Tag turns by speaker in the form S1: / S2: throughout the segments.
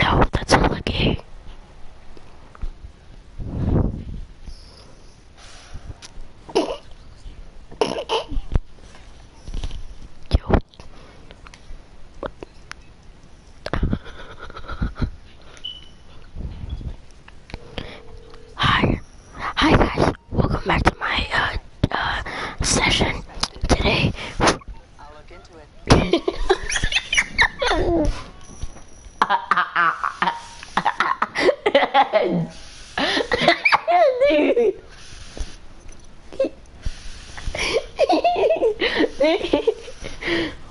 S1: No, that's all Yo. Hi. Hi guys. Welcome back to my uh, uh session today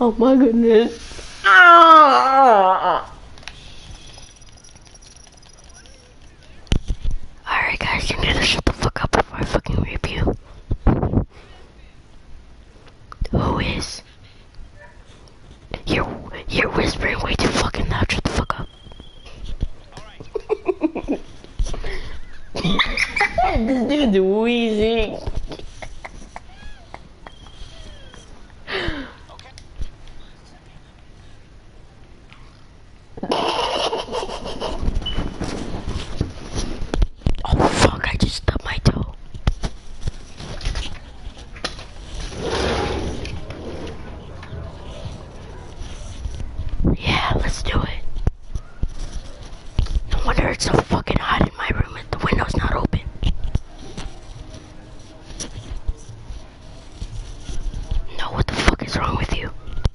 S1: oh my goodness. Alright guys, you need to shut the fuck up before I fucking rape you. Who is? You're you're whispering way too fucking loud. Shut the fuck up. this dude's wheezing. Oh fuck, I just stubbed my toe. Yeah, let's do it. No wonder it's so fucking hot in my room the window's not open.
S2: No, what the fuck is wrong with you?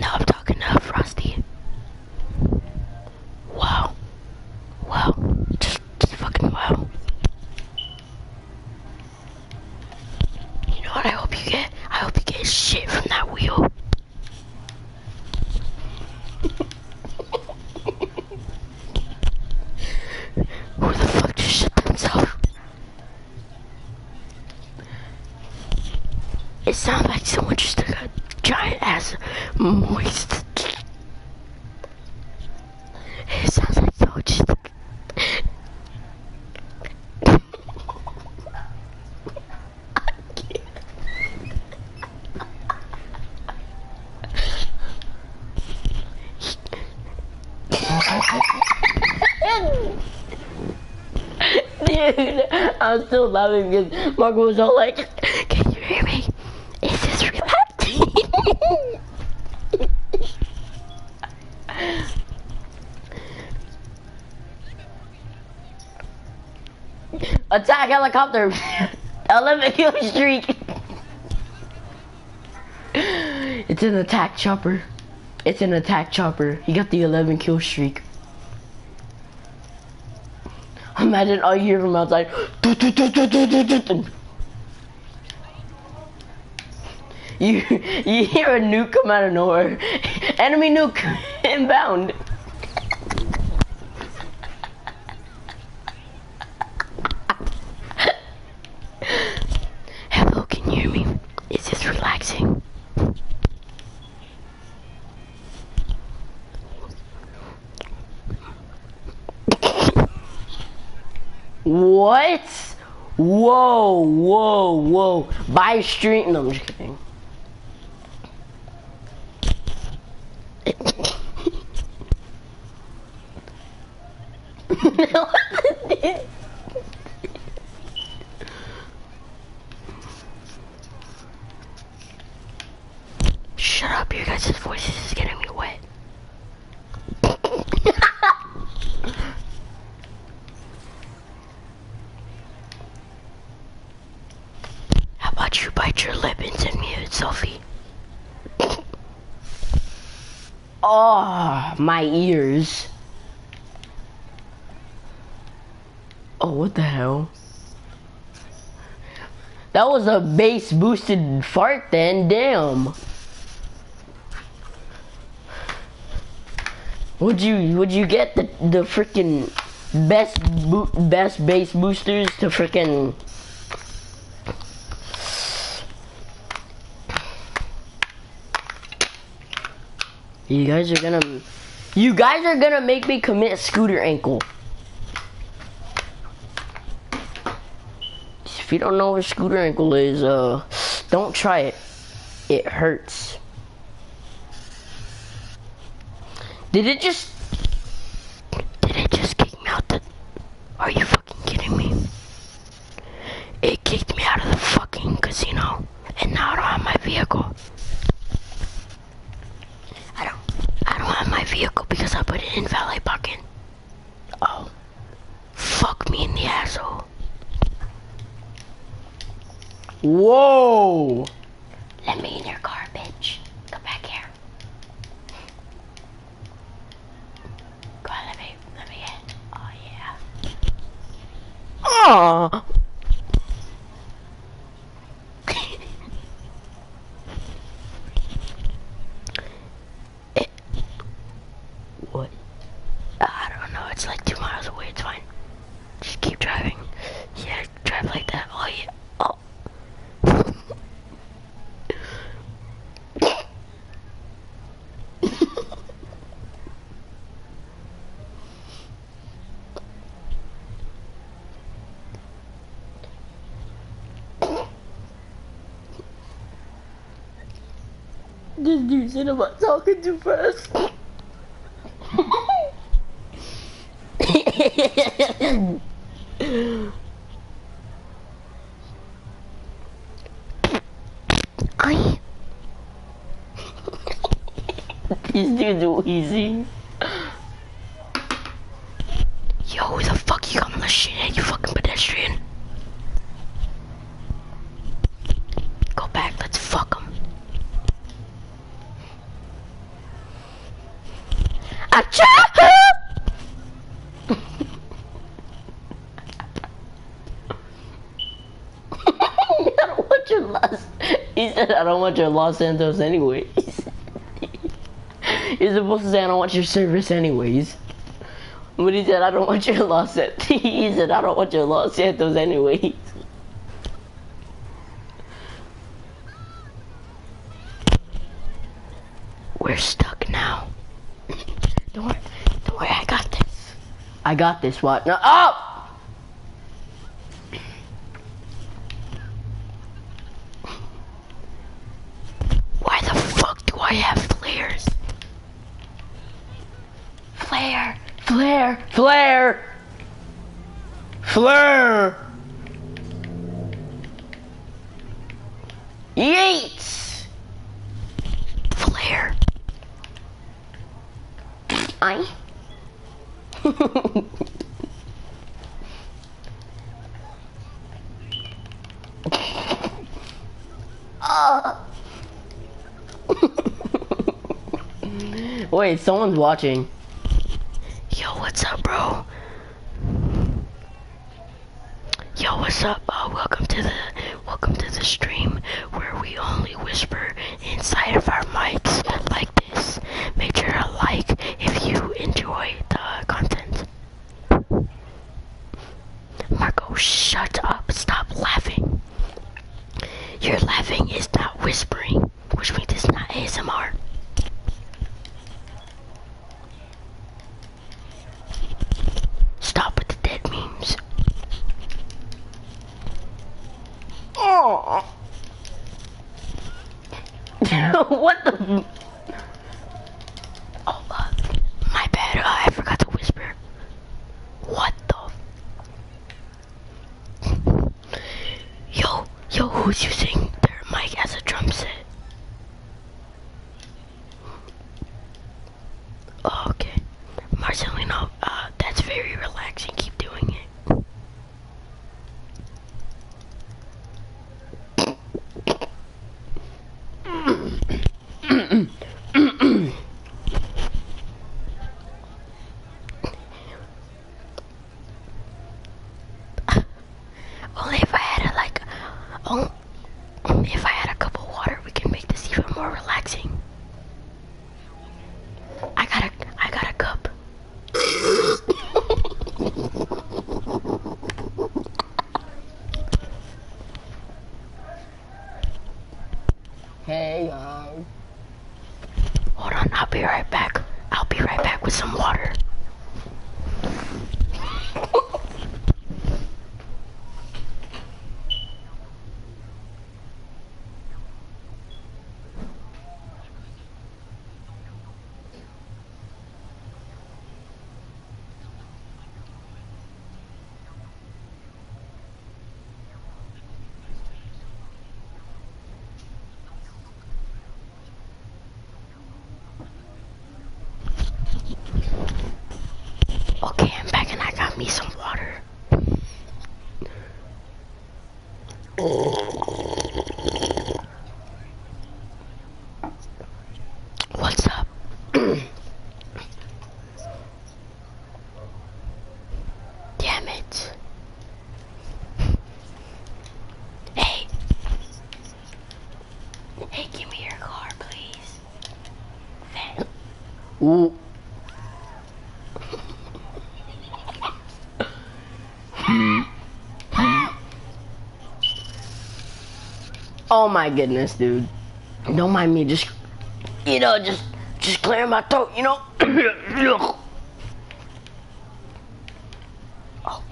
S1: No, I'm talking to Frosty. Wow. Wow. Just, just fucking wow. You know what I hope you get? I hope you get shit from that wheel. Who the fuck just shit themselves? It sounds like someone just took a giant ass moist. It sounds like someone just. Dude, I'm still laughing because Marco was all like, can you hear me? Is this relaxing? Attack helicopter! 11 kill streak! it's an attack chopper. It's an attack chopper. He got the 11 kill streak. Imagine all you hear from outside. You you hear a nuke come out of nowhere. Enemy nuke inbound. Hello, can you hear me? Is this relaxing? what? Whoa, whoa, whoa. By street. No, I'm just kidding. Shut up, you guys' voices is getting me wet. How about you bite your lip and send me a selfie? oh, my ears. Oh, what the hell? That was a base boosted fart then, damn. Would you would you get the the freaking best best base boosters to freaking you guys are gonna, you guys are gonna make me commit scooter ankle. If you don't know what scooter ankle is, uh, don't try it. It hurts. Did it just, did it just kick me out are you fucking kidding me? It kicked me out of the fucking casino, and now I don't have my vehicle. I don't, I don't have my vehicle because I put it in valet parking. Oh, fuck me in the asshole. Whoa! Let me in your car, bitch. Come back here.
S2: Go on, let me, let me in. Oh, yeah. Aww!
S1: what? I don't know. It's like two miles away. It's fine. Just keep driving. Yeah, drive like that. Oh yeah. Oh. This dude's in about talking too fast. I These dudes are easy. Yo, who the fuck
S2: you got on shit, you fucking pedestrian?
S1: Go back, let's fuck him. Acha! what you lost? he said, I don't want your Los Santos anyway. He's supposed to say, I don't want your service anyways. But he said, I don't want your Los Santos. he said, I don't want your Los Santos anyways. We're stuck now. don't worry, don't worry, I got this. I got this, what? No, up! Oh! Why the fuck do I have flares? Flare, flare, flare, flare. Yeats! Flare. I ah. Wait, someone's watching. Yo, what's up, bro? Yo, what's up? Uh, welcome to the welcome to the stream where we only whisper inside of our mics like this. Make sure to like if you enjoy the content. Marco, shut up. Stop laughing. Your laughing is not whispering, which means it's not ASMR. Stop with the dead memes. Oh. what the? Oh, uh, my bad. Uh, I forgot to whisper. What the? Yo, yo, who's using their mic as a drum set? Oh, okay. Marcelino, uh, that's very relaxing. Keep doing it. Only if I had a cup of water, we can make this even more relaxing. I got a I got a cup hey, uh, Hold on, I'll be right back. I'll be right back with some water. Okay, I'm back and I got me some water. What's up? Damn it. Hey. Hey, give me your car, please. Ooh. Hmm. oh my goodness, dude. Don't mind me just you know, just just clearing my throat, you know. oh. Oh,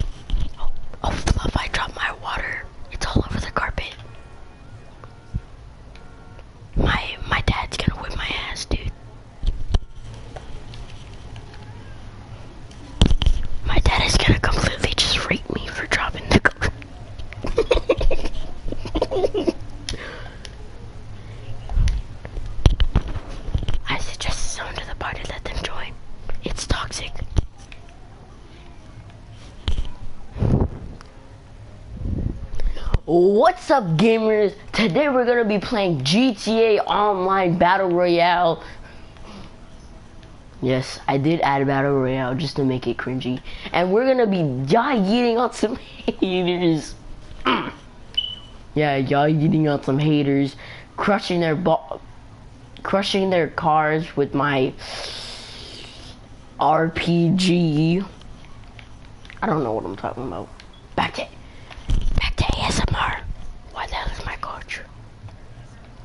S1: oh, fluff, I dropped my water. It's all over the carpet. My my dad's gonna whip my ass, dude. My dad is gonna completely just rape me for dropping the car. I suggest someone to the party let them join. It's toxic. What's up gamers? today we're gonna be playing GTA Online Battle Royale. Yes, I did add Battle Royale just to make it cringy. And we're gonna be you eating on some haters. yeah, you eating on some haters, crushing their ball, crushing their cars with my RPG. I don't know what I'm talking about. Back to back to ASMR. What the hell is my coach?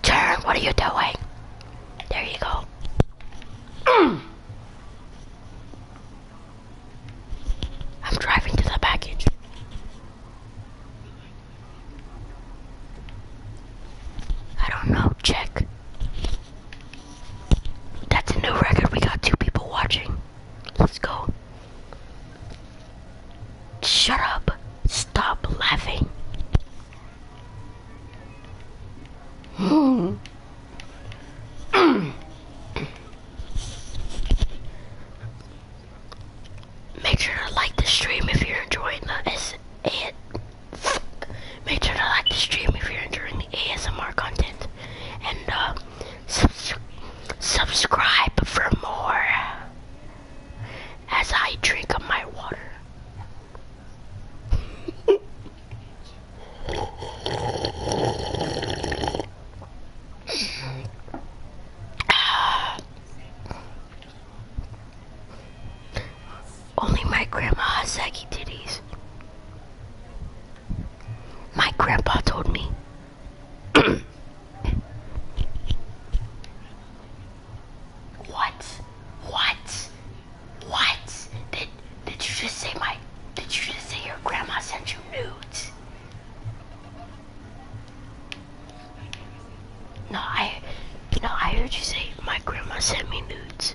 S1: Turn, what are you doing? There you go. I'm driving to the package. I don't know, check. That's a new record. We got two people watching. Let's go. Shut up! Stop laughing! Hmm. Make sure to like the stream if you're enjoying the S make sure to like the stream if you're enjoying the ASMR content. And uh, subscribe for more as I drink of my water. Only my grandma has saggy titties. My grandpa told me. What? What? What? Did, did you just say my, did you just say your grandma sent you nudes? No, I, no, I heard you say my grandma sent me nudes.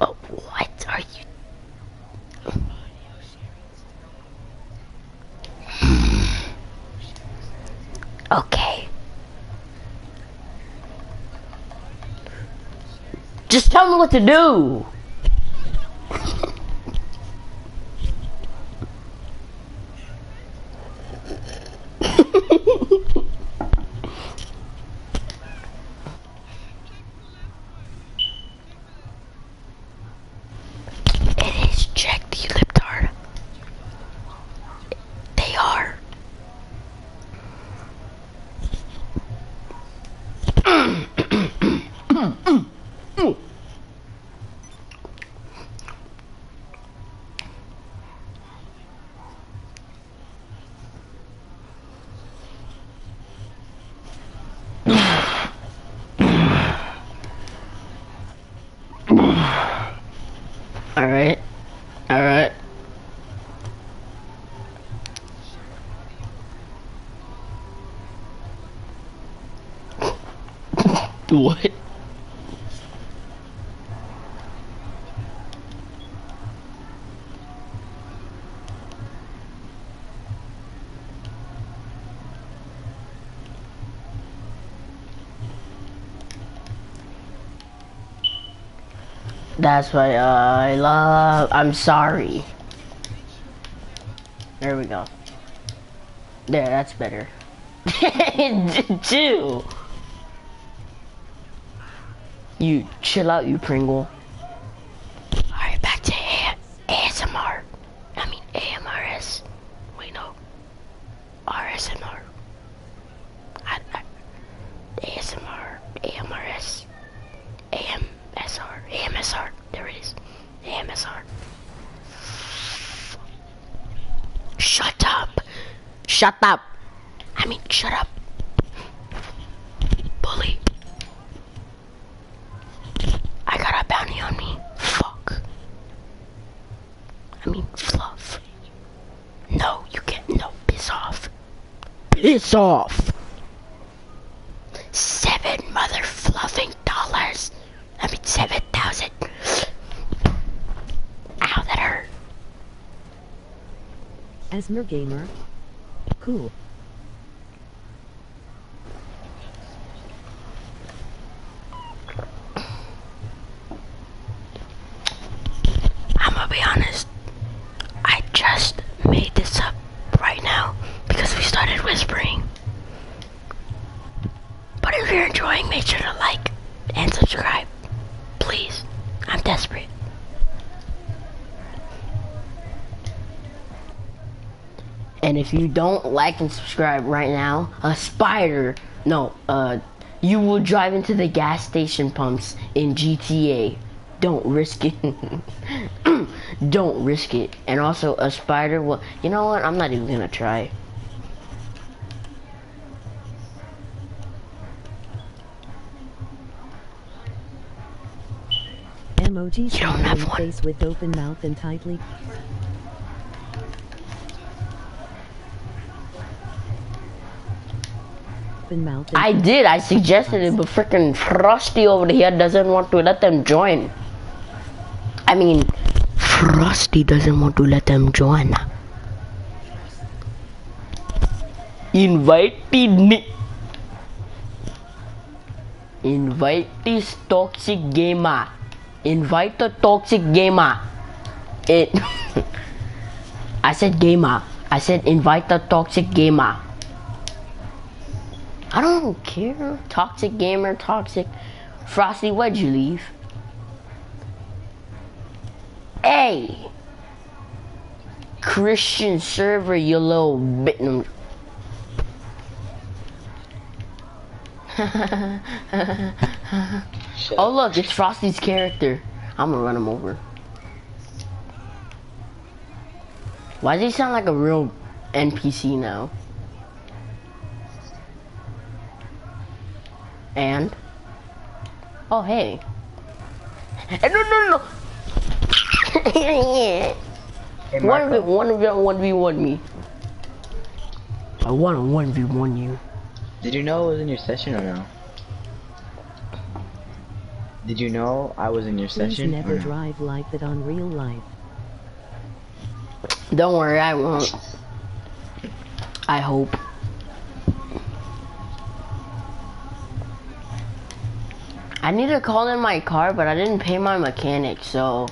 S2: oh, what are you?
S1: okay. Just tell me what to do. it is Jack the Liptard. They are. Alright. Alright. what? That's why I love. I'm sorry. There we go. There, that's better. Two. You chill out, you Pringle. Alright, back to ASMR. I mean AMRS. Wait, no. RSMR. I, I, ASMR, AMRS, AMSR, AMSR. There it is. The Amazon. Shut up. Shut up. I mean, shut up. Bully. I got a bounty on me. Fuck. I mean, fluff. No, you can't. No, piss off. Piss off. Seven mother fluffing dollars. I mean 7,000. Ow, that hurt.
S2: Asmer Gamer. Cool.
S1: I'm gonna be honest. I just made this up right now because we started whispering. But if you're enjoying, make sure to like and subscribe. Please. I'm desperate. And if you don't like and subscribe right now, a spider, no, uh, you will drive into the gas station pumps in GTA. Don't risk it. don't risk it and also a spider Well, you know what I'm not even gonna try MOG you do face with open mouth and tightly open mouth I did I suggested it but freaking Frosty over here doesn't want to let them join I mean, Frosty doesn't want to let them join. Invite me. Invite this toxic gamer. Invite the toxic gamer. It. I said gamer. I said invite the toxic gamer. I don't care. Toxic gamer, toxic. Frosty, where'd you leave? Hey! Christian server, you little bit. oh look, it's Frosty's character. I'm gonna run him over. Why does he sound like a real NPC now? And? Oh, hey. hey eh, no, no, no! hey, one v one v one me. I want a one v one you. Did you know I was in your session or no? Did you know I was in your session? Never drive like that on real life. Don't worry, I won't. I hope. I need to call in my car, but I didn't pay my mechanic, so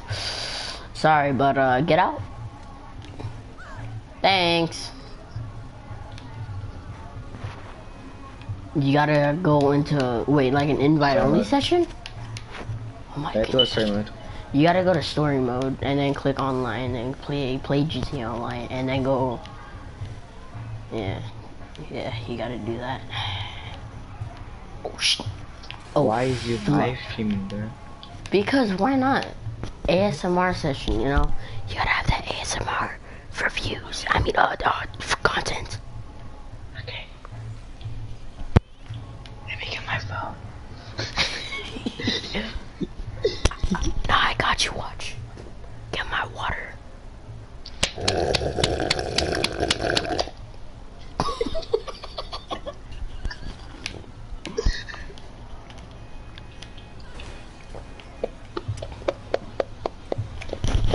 S1: sorry, but uh, get out. Thanks. You gotta go into, wait, like an invite only session? Oh you gotta go to story mode and then click online and play play GTA Online and then go. Yeah, yeah, you gotta do that. Oh shit.
S2: Oh, why is your live
S1: streaming there? Because why not? ASMR session, you know? You gotta have that ASMR for views. I mean, uh, uh for content. Okay. Let me get my phone. no, I got you, watch. Get my water.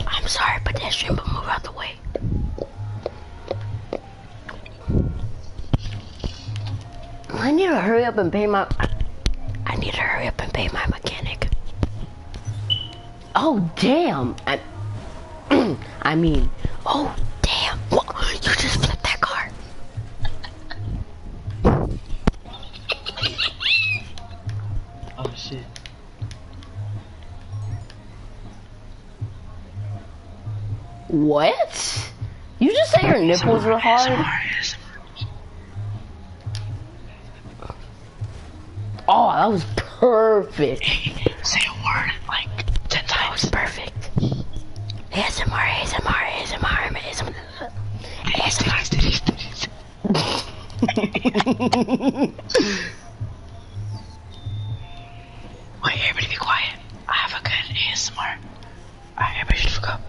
S1: I'm sorry, pedestrian, but move out the way. I need to hurry up and pay my... I need to hurry up and pay my mechanic. Oh, damn! I, I mean, oh, damn! You just flipped that car! oh, shit. What? You just say your nipples were hard? Oh, that was perfect. Say a word like 10 times. perfect. ASMR, ASMR, ASMR, ASMR.
S2: ASMR.
S1: Wait, everybody be quiet. I have a good ASMR. everybody should look up.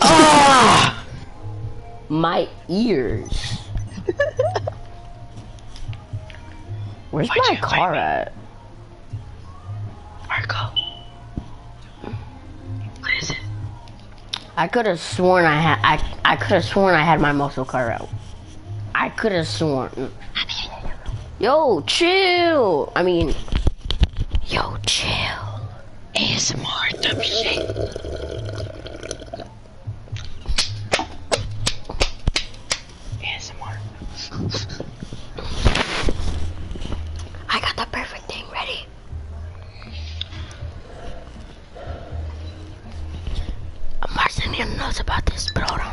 S1: Ah! My ears. Where's my car at? Marco. What is it? I could have sworn I had I I could have sworn I had my muscle car out. I could have sworn. Yo, chill. I mean, yo, chill. ASMR dumb shit. ASMR. I got the perfect thing ready. Marcinian knows about this program.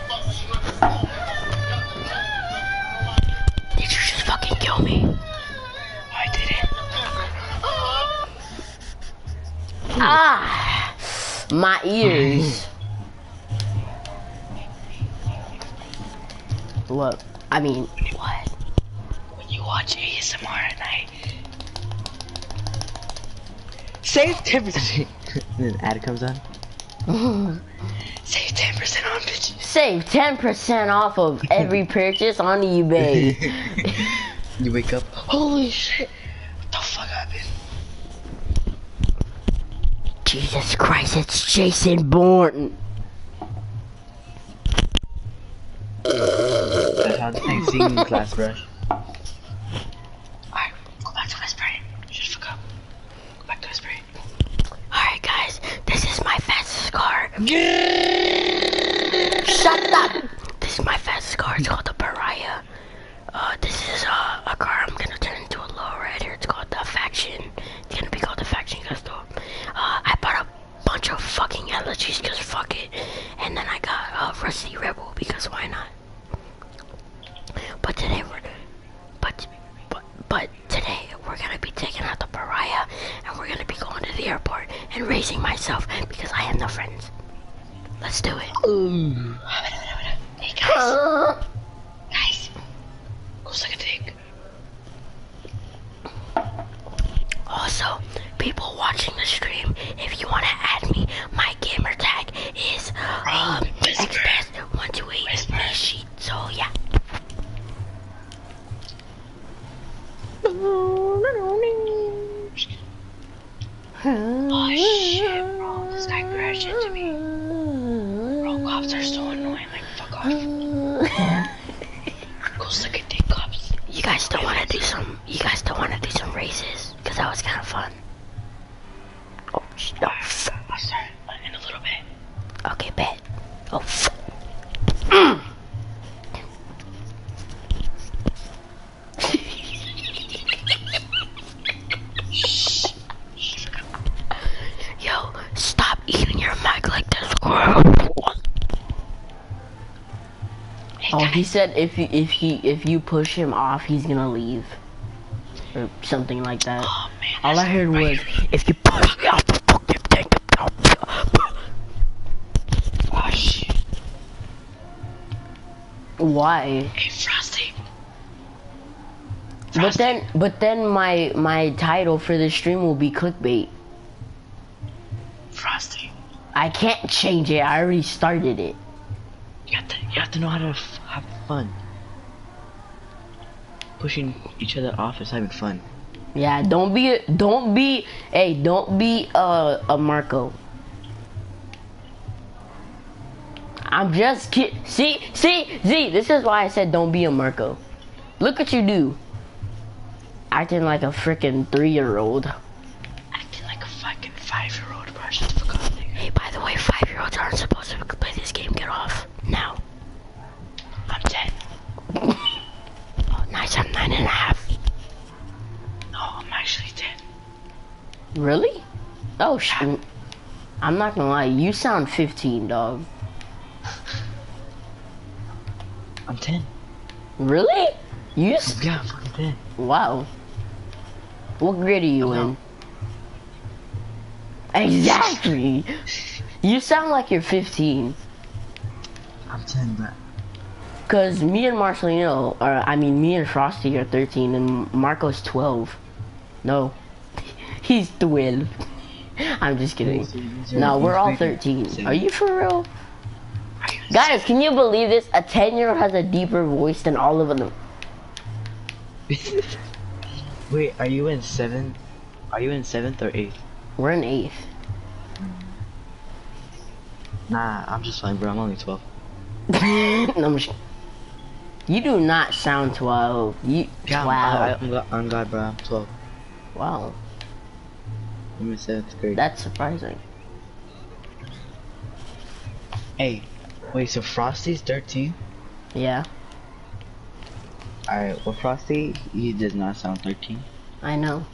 S1: Did you just fucking kill me? I didn't. Ah! My ears. Look, I mean, what? When you watch ASMR at night, save Timothy then ad comes on. Save 10% on Save 10% off of every purchase on eBay. you wake up, holy shit, what the fuck happened? Jesus Christ, it's Jason Bourne.
S2: That sounds like singing class, brush.
S1: Alright, go back to my spray. Just forgot. Go back to my Alright, guys, this is my fastest car. Shut up! This is my fastest car. It's called the Pariah. Uh, this is uh, a car I'm gonna turn into a low rider. It's called the Faction. It's gonna be called the Faction Gusto. Uh, I bought a bunch of fucking allergies because fuck it. And then I got a uh, Rusty Rebel because why not? But today we're but but but today we're gonna be taking out the pariah and we're gonna be going to the airport and raising myself because I have no friends. Let's do it. Hey guys. Uh. Guys. Go suck Also, people watching the stream, if you wanna add me my gamer tag is um, xpress128 Nishi. So yeah.
S2: Oh shit, bro. This guy crashed into me.
S1: Bro, cops are so annoying. Like, fuck off. Go suck a dick, cops. You guys still want to do some, you guys still want to do some races? Because that was kind of fun. Oh, no. Oh, I'll start in a little
S2: bit. Okay, bet. Oh, mm.
S1: Yo, stop eating your mic like this. Hey, oh, he said if you if he if you push him off, he's gonna leave. Or something like that. Oh, All I heard was, if you push me off the fucking thing, Oh, Why? Hey, Frosty. But then, but then my my title for this stream will be clickbait. Frosty. I can't change it. I already started it. You have to, you have to know how to have fun. Pushing each other off is having fun. Yeah, don't be, don't be, hey, don't be a Marco. I'm just kidding. See, see, Z, this is why I said don't be a Marco. Look what you do. Acting like a freaking three year old.
S2: Acting like a fucking five year old.
S1: Hey, by the way, five-year-olds aren't supposed to play this game. Get off now. I'm ten. Oh, nice. I'm nine and a half. No, I'm actually ten. Really? Oh shit. I'm not gonna lie. You sound 15, dog. I'm 10. Really? You? Yeah, i 10. Wow. What grade are you in? Exactly! You sound like you're 15.
S2: I'm 10, but...
S1: Because me and Marshall, Marcelino, or I mean, me and Frosty are 13, and Marco's 12. No. He's 12. I'm just kidding. No, we're all 13. Are you for real? Guys, can you believe this? A 10-year-old has a deeper voice than all of them. Wait, are you in seventh? Are you in seventh or eighth? We're in eighth. Nah, I'm just fine, bro. I'm only twelve. you do not sound twelve. You yeah, I, I'm, am glad, bro. twelve. Wow. I'm in seventh grade. That's surprising. Hey, wait. So Frosty's thirteen. Yeah. Alright, well Frosty, he does not sound 13. I know.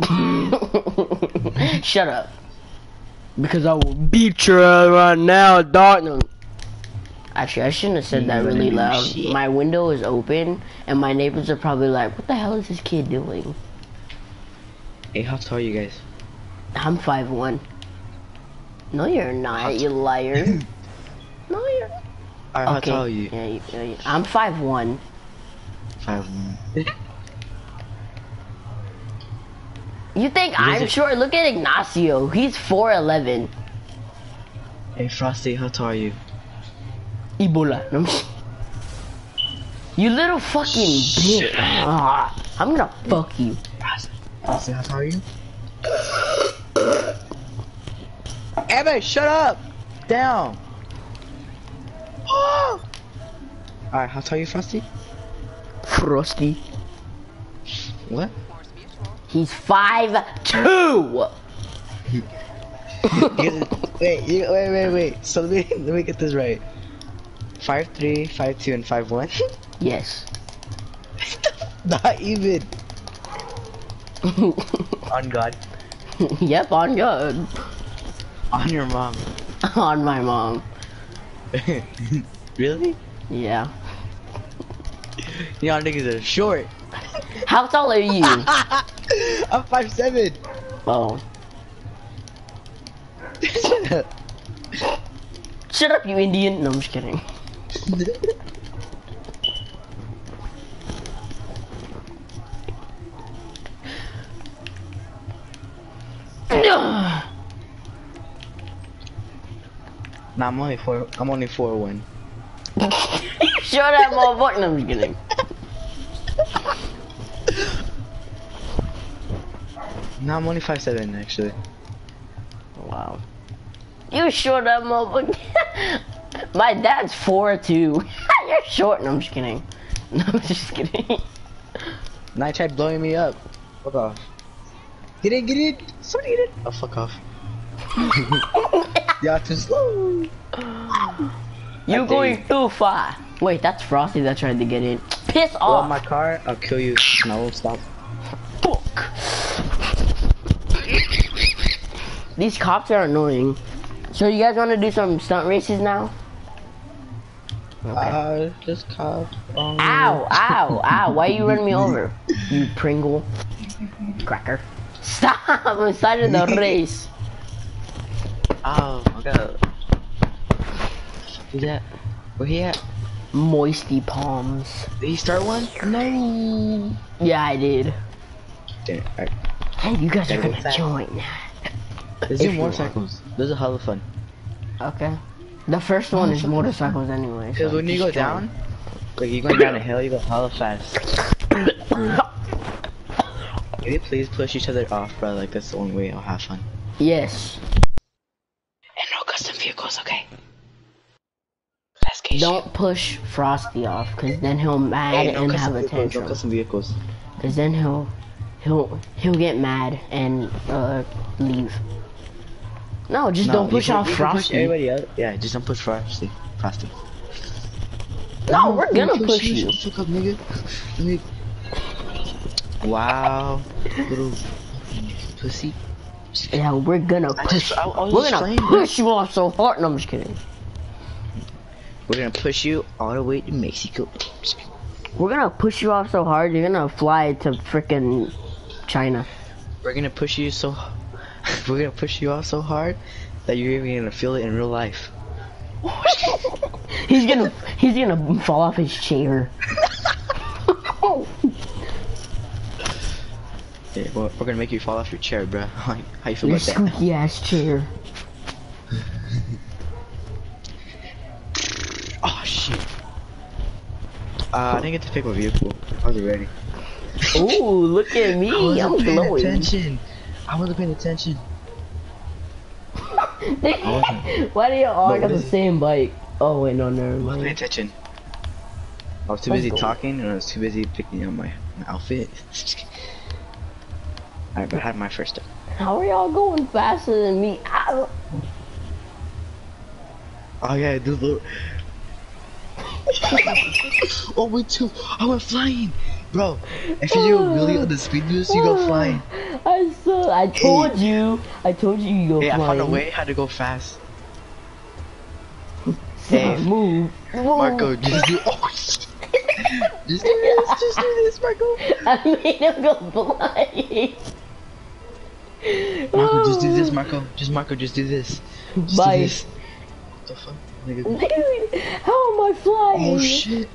S1: Shut up. Because I will beat you right now, Dartnum. Actually, I shouldn't have said that mm-hmm. really loud. My window is open, and my neighbors are probably like, what the hell is this kid doing? Hey, how tall are you guys? I'm five one. No, you're not, you liar. no, you're. Alright, how okay. tall are you? I'm five one. Five one. you think I'm short? Look at Ignacio. He's four eleven. Hey, Frosty, how tall are you? Ebola. you little fucking bitch. Ah, I'm gonna fuck you. Does that how you? Abby, shut up! Down! Alright, how tall you, Frosty? Frosty. What? He's five two. wait, wait, wait, wait. So let me let me get this right. Five three, five two, and five one. Yes. Not even. on God. yep, on God. On your mom. on my mom. really? Yeah. Y'all niggas are short. How tall are you? I'm five seven. Oh. Shut up, you Indian. No, I'm just kidding. nah, i only four. I'm only four one. Shut up, motherfucker. No, I'm kidding. nah, I'm only five seven actually. Wow. You short that motherfucker. My dad's four too. You're short. No, I'm just kidding. No, I'm just kidding. Night tried blowing me up. Fuck off.
S2: Get it, get it. So get it. Oh, fuck off. you are too
S1: slow. You're going too far. Wait, that's Frosty that tried to get in. Piss off. Well, my car, I'll kill you. No, stop. Fuck! These cops are annoying. So you guys want to do some stunt races now? Okay. Uh, just cop. Um, ow! Ow! Ow! Why are you running me over? You Pringle, cracker! Stop! I'm starting the race.
S2: Oh my god.
S1: He's at, where he at? Moisty Palms. Did he start one? No. Yeah, I did. Hey, you guys are gonna join that. join. There's if motorcycles. Those are hella fun. Okay. The first one is motorcycles anyway. Cause when you go down, like you're going
S2: down a hill, you go hella fast. Can you please push each other off, bro? Like that's the only way I'll have fun.
S1: Yes. And no custom vehicles, okay? Don't push Frosty off, cause then he'll mad and have a tantrum. No custom vehicles. Cause then he'll he'll he'll get mad and uh leave. No, just don't push off Frosty. everybody else. Yeah, just don't push Frosty. Frosty. No, we're gonna push, push you. Up, nigga. Wow pussy. Yeah, we're gonna push. we're gonna push you off so hard. No, I'm just kidding. We're gonna push you all the way to Mexico. We're gonna push you off so hard. You're gonna fly to freaking China. We're gonna push you so. we're gonna push you off so hard that you're even gonna feel it in real life. he's gonna he's gonna fall off his chair there. we're gonna make you fall off your chair, bro. How, you feel your about that? Your squeaky ass chair.
S2: oh shit. Uh, I didn't get to pick my vehicle. I was ready.
S1: Ooh, look at me! I am glowing. Attention. I wasn't paying attention. Why do y'all all got the same bike? Oh wait, no, no, mind. I was attention. I was too oh, busy
S2: talking, and I was too busy picking out my, outfit.
S1: Alright, but had my first How are y'all going faster than me? Oh yeah, dude, look. oh we two. I went flying, bro. If you do really on the speed boost, you go flying. Professor, I told hey. you. I told you you go Hey, flying. I found a way
S2: how to go fast.
S1: hey, move. Marco, just do- oh, just do this, just do this, Marco. I made him go blind. Marco, just do this, oh. Marco. Just Marco, just do this. Just Bye. Do this. What the fuck? Dude, how am I flying? Oh shit.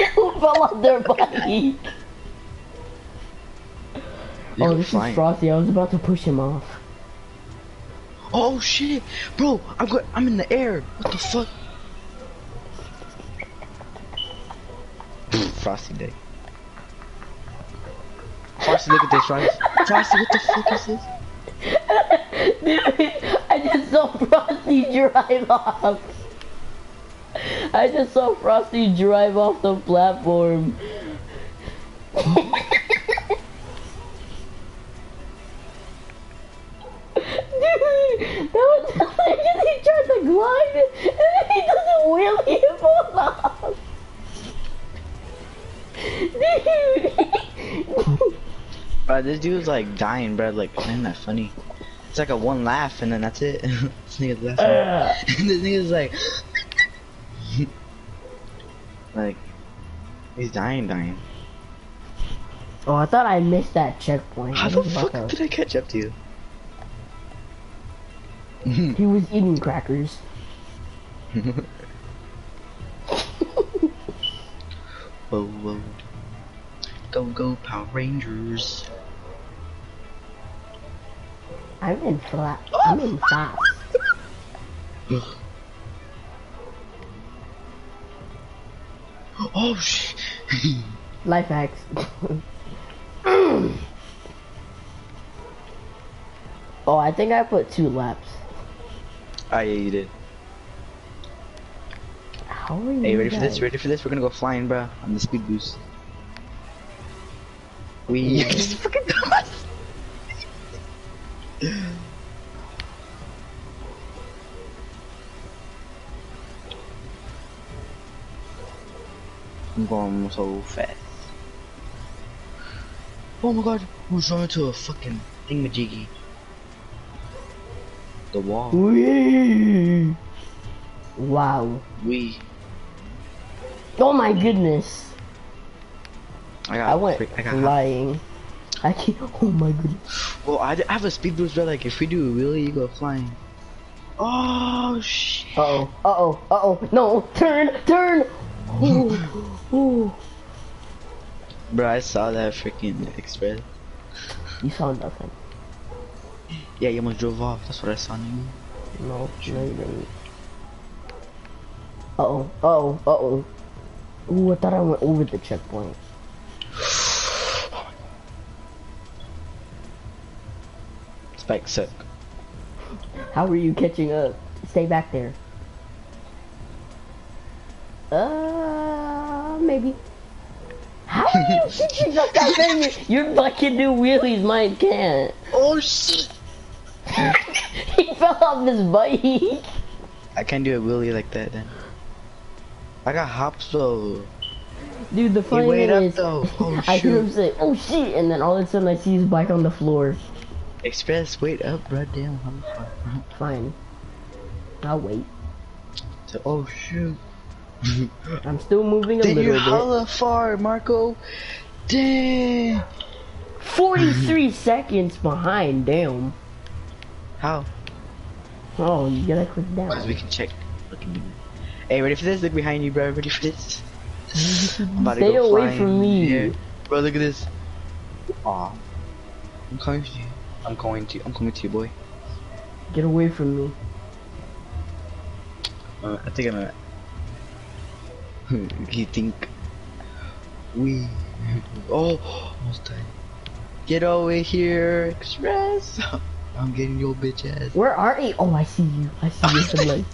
S1: you fell off their bike oh, this is Frosty. I was about to push him off. Oh shit, bro! I'm go I'm in the air. What the fuck?
S2: Frosty day. Frosty, look at this, right?
S1: Frosty, what the fuck is this? I just saw Frosty drive off. I just saw Frosty drive off the platform. Dude, that was like he tried to glide and then he doesn't wheelie and off. Dude.
S2: bro, this dude's like dying, bro. Like, why am I funny? It's like a one laugh and then that's it. this nigga's laughing. Uh.
S1: this nigga's like,
S2: like, he's dying, dying.
S1: Oh, I thought I missed that checkpoint. How the fuck did I
S2: catch up to you?
S1: he was eating crackers. Oh, Go, go, Power Rangers. I'm in flat. I'm in flat. oh, oh shit! Life hacks. oh, I think I put two laps. I ate it. How are you? Hey, ready for this? Ready
S2: for this? We're gonna go flying, bro,
S1: I'm the speed boost.
S2: We just fucking
S1: I'm going so fast.
S2: Oh my god, I was running to a fucking thingamajiggy. The wall. Wee.
S1: Wow. We. Oh my goodness. I, went flying. I can't, oh my goodness. Well, I, have a speed boost, but like if we do a wheelie, you go flying. Oh shit. oh, uh oh, uh oh, no, turn, turn! Ooh, ooh. Bro, I saw that freaking express. You saw nothing. Yeah, you almost drove off. That's what I saw you. No, no, you did oh, oh, oh. I thought I went over the checkpoint. Spike sick. How are you catching up? Stay back there. Uh, maybe. How are you catching up that your fucking new wheelies, mine can't. Oh shit! he fell off his bike. I can't do a wheelie like that then. I got hops though. Dude, the funny thing is, oh, I hear him say, "Oh shit!" and then all of a sudden I see his bike on the floor. Express, wait up, bro. Damn, fine. I'll wait. So, oh shoot. I'm still moving a Did little you bit. How far, Marco? Damn. 43 seconds behind, damn. How? Oh, you gotta click down. As we can check. Hey, ready for this? Look behind you, bro. Ready for this? Stay away from me. Yeah. Bro, look at this. Aw.
S2: I'm coming to you. I'm coming to you. I'm coming to you, boy.
S1: Get away from me.
S2: Uh, I think I'm gonna.
S1: you think we? Oh, Get over here, Express. I'm getting your bitch ass. Where are you? Oh, I see you. I see you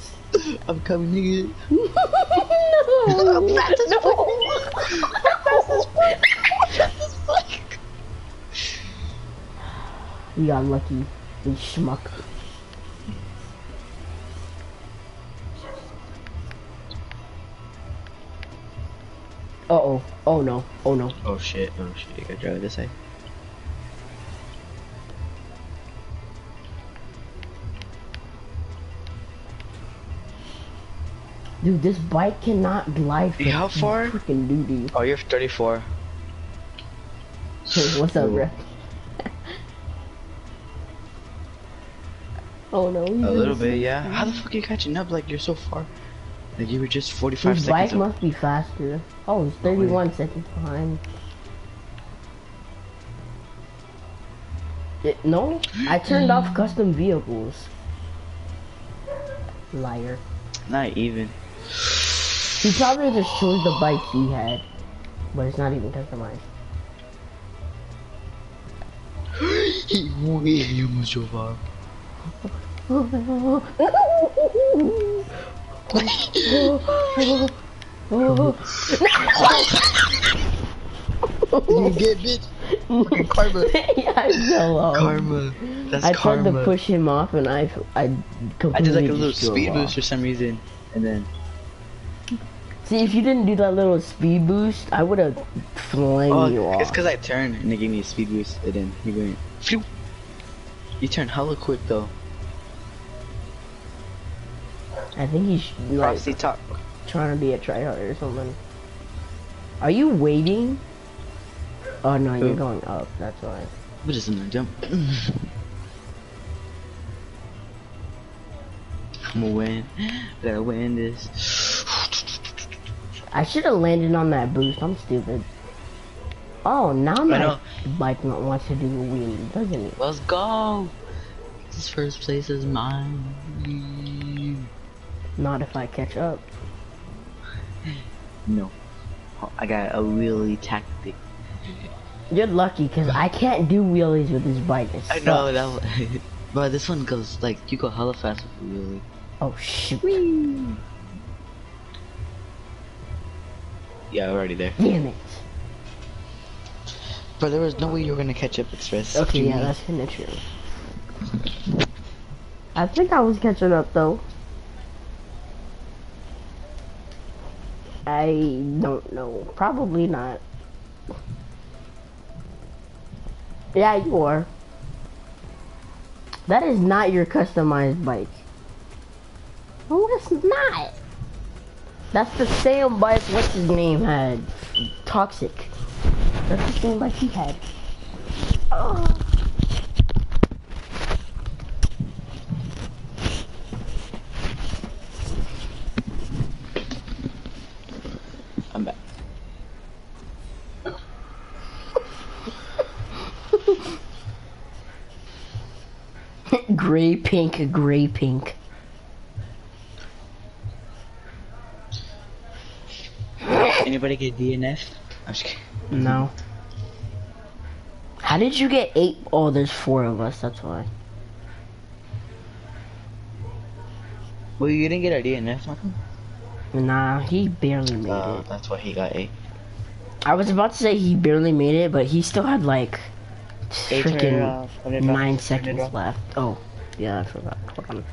S1: I'm coming, nigga. no. i
S2: no. fuck. i
S1: We got lucky. We schmuck. Uh oh. Oh no. Oh no. Oh shit. Oh shit. You gotta drive this way. Dude, this bike cannot glide. How far? Freaking duty. Oh, you have 34 what's up, bro? oh no. A little bit, yeah. How the fuck are you catching up? Like you're so far.
S2: Like you were just 45 His seconds. bike
S1: must be faster. Oh, he's 31 seconds behind. no, I turned off custom vehicles. Liar. Not even. He probably just chose the bike he had. But it's not even customized. He almost drove you get
S2: bitch. karma.
S1: yeah, so Karma. That's I tried to push him off, and I I I did like a little speed boost
S2: for some reason and then.
S1: See, if you didn't do that little speed boost, I would have flamed oh, you off. It's
S2: because I turned and they gave me a speed boost, and
S1: then you went. Phew. You turned hella quick though. I think you he's like top. trying to be a tryhard or something. Are you waiting? Oh no, you're going up. That's why. But in not jump? I'm gonna win. Better win this. I should have landed on that boost. I'm stupid. Oh, now my bike not wants to do a wheelie, doesn't it? Let's go. This first place is mine. Not if I catch up. No. I got a wheelie tactic. You're lucky, cause I can't do wheelies with this bike. I know
S2: that, but this one goes like you go hella fast with
S1: a wheelie. Oh shoot! Yeah, we're already there. Damn it! But there was no way you were gonna catch up with Stress. Okay, yeah, that's kinda true. I think I was catching up though. I don't know. Probably not. Yeah, you are. That is not your customized bike. Oh, it's not. That's the same bike what's his name had. Toxic. That's the same bike he had. Oh. I'm back. gray pink, gray pink.
S2: Anybody get DNF?
S1: I'm No. How did you get eight? Oh, there's four of us, that's why. Well, you didn't get a DNF, Michael? Nah, he barely made oh, it. That's why he got eight. I was about to say he barely made it, but he still had like freaking uh, nine seconds left. Oh, yeah, I forgot. Hold on.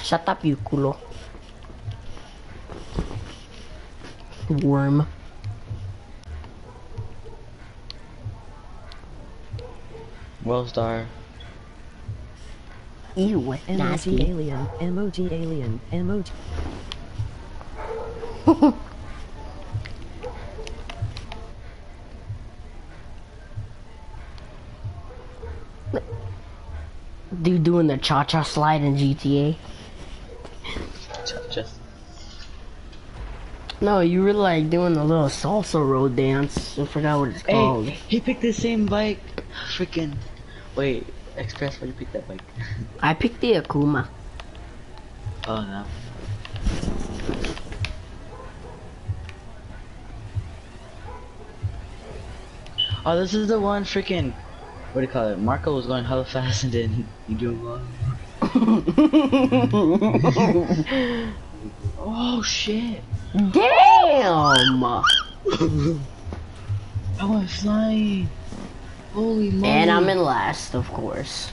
S1: Shut up, you culo. Worm. World star. Ew, nasty. alien, emoji alien, emoji. Dude doing the cha-cha slide in GTA. Cha-cha. No, you were like doing the little salsa road dance. I forgot what it's called. Hey, he picked the same bike. Freaking. Wait, Express, why you pick that bike? I picked the Akuma. Oh no. Oh, this is the one freaking. What do you call it? Marco was going hella fast
S2: and then you do. well. oh shit!
S1: Damn! I was flying. And I'm in last, of course.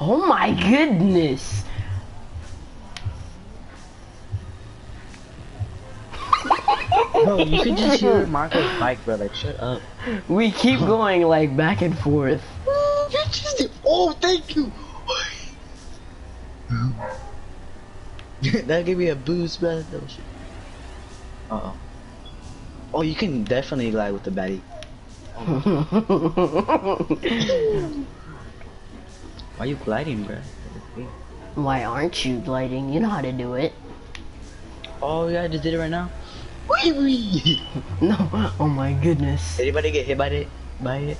S1: Oh my goodness. Bro, you could just hear Marco's bike, brother. shut up. We keep going, like, back and forth. Oh, thank you.
S2: that gave me a boost, man. Uh oh. Oh, you can definitely glide with the baddie. Why are you gliding, bro?
S1: Why aren't you gliding? You know how to do it. Oh yeah, I just did it right now. no, oh my goodness. Anybody get hit by it? By it?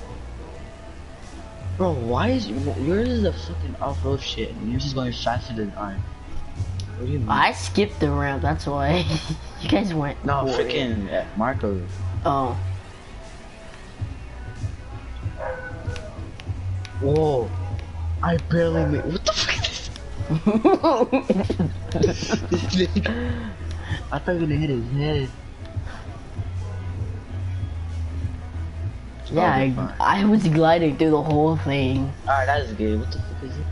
S1: Bro, why is yours is a fucking off-road shit, and yours is going faster than mine. I skipped the ramp. that's why. you guys went. No, freaking uh, Marco. Oh. Whoa. I barely made. What the fuck
S2: I thought he was gonna hit his head. Yeah,
S1: I was gliding through the whole thing.
S2: Alright, that is good. What the fuck is it?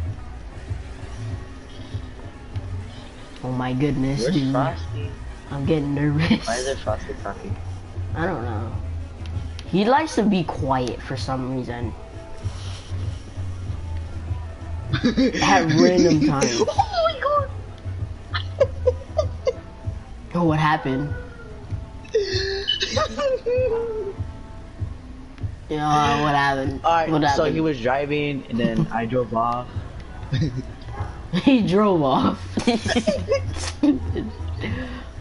S1: Oh my goodness, dude. I'm getting nervous. Why is there
S2: Frosty Frosty?
S1: I don't know. He likes to be quiet for some reason. At random times.
S2: Oh my god!
S1: oh, what happened? You know, uh, what happened? Alright, so he was driving, and then I drove off. he drove off.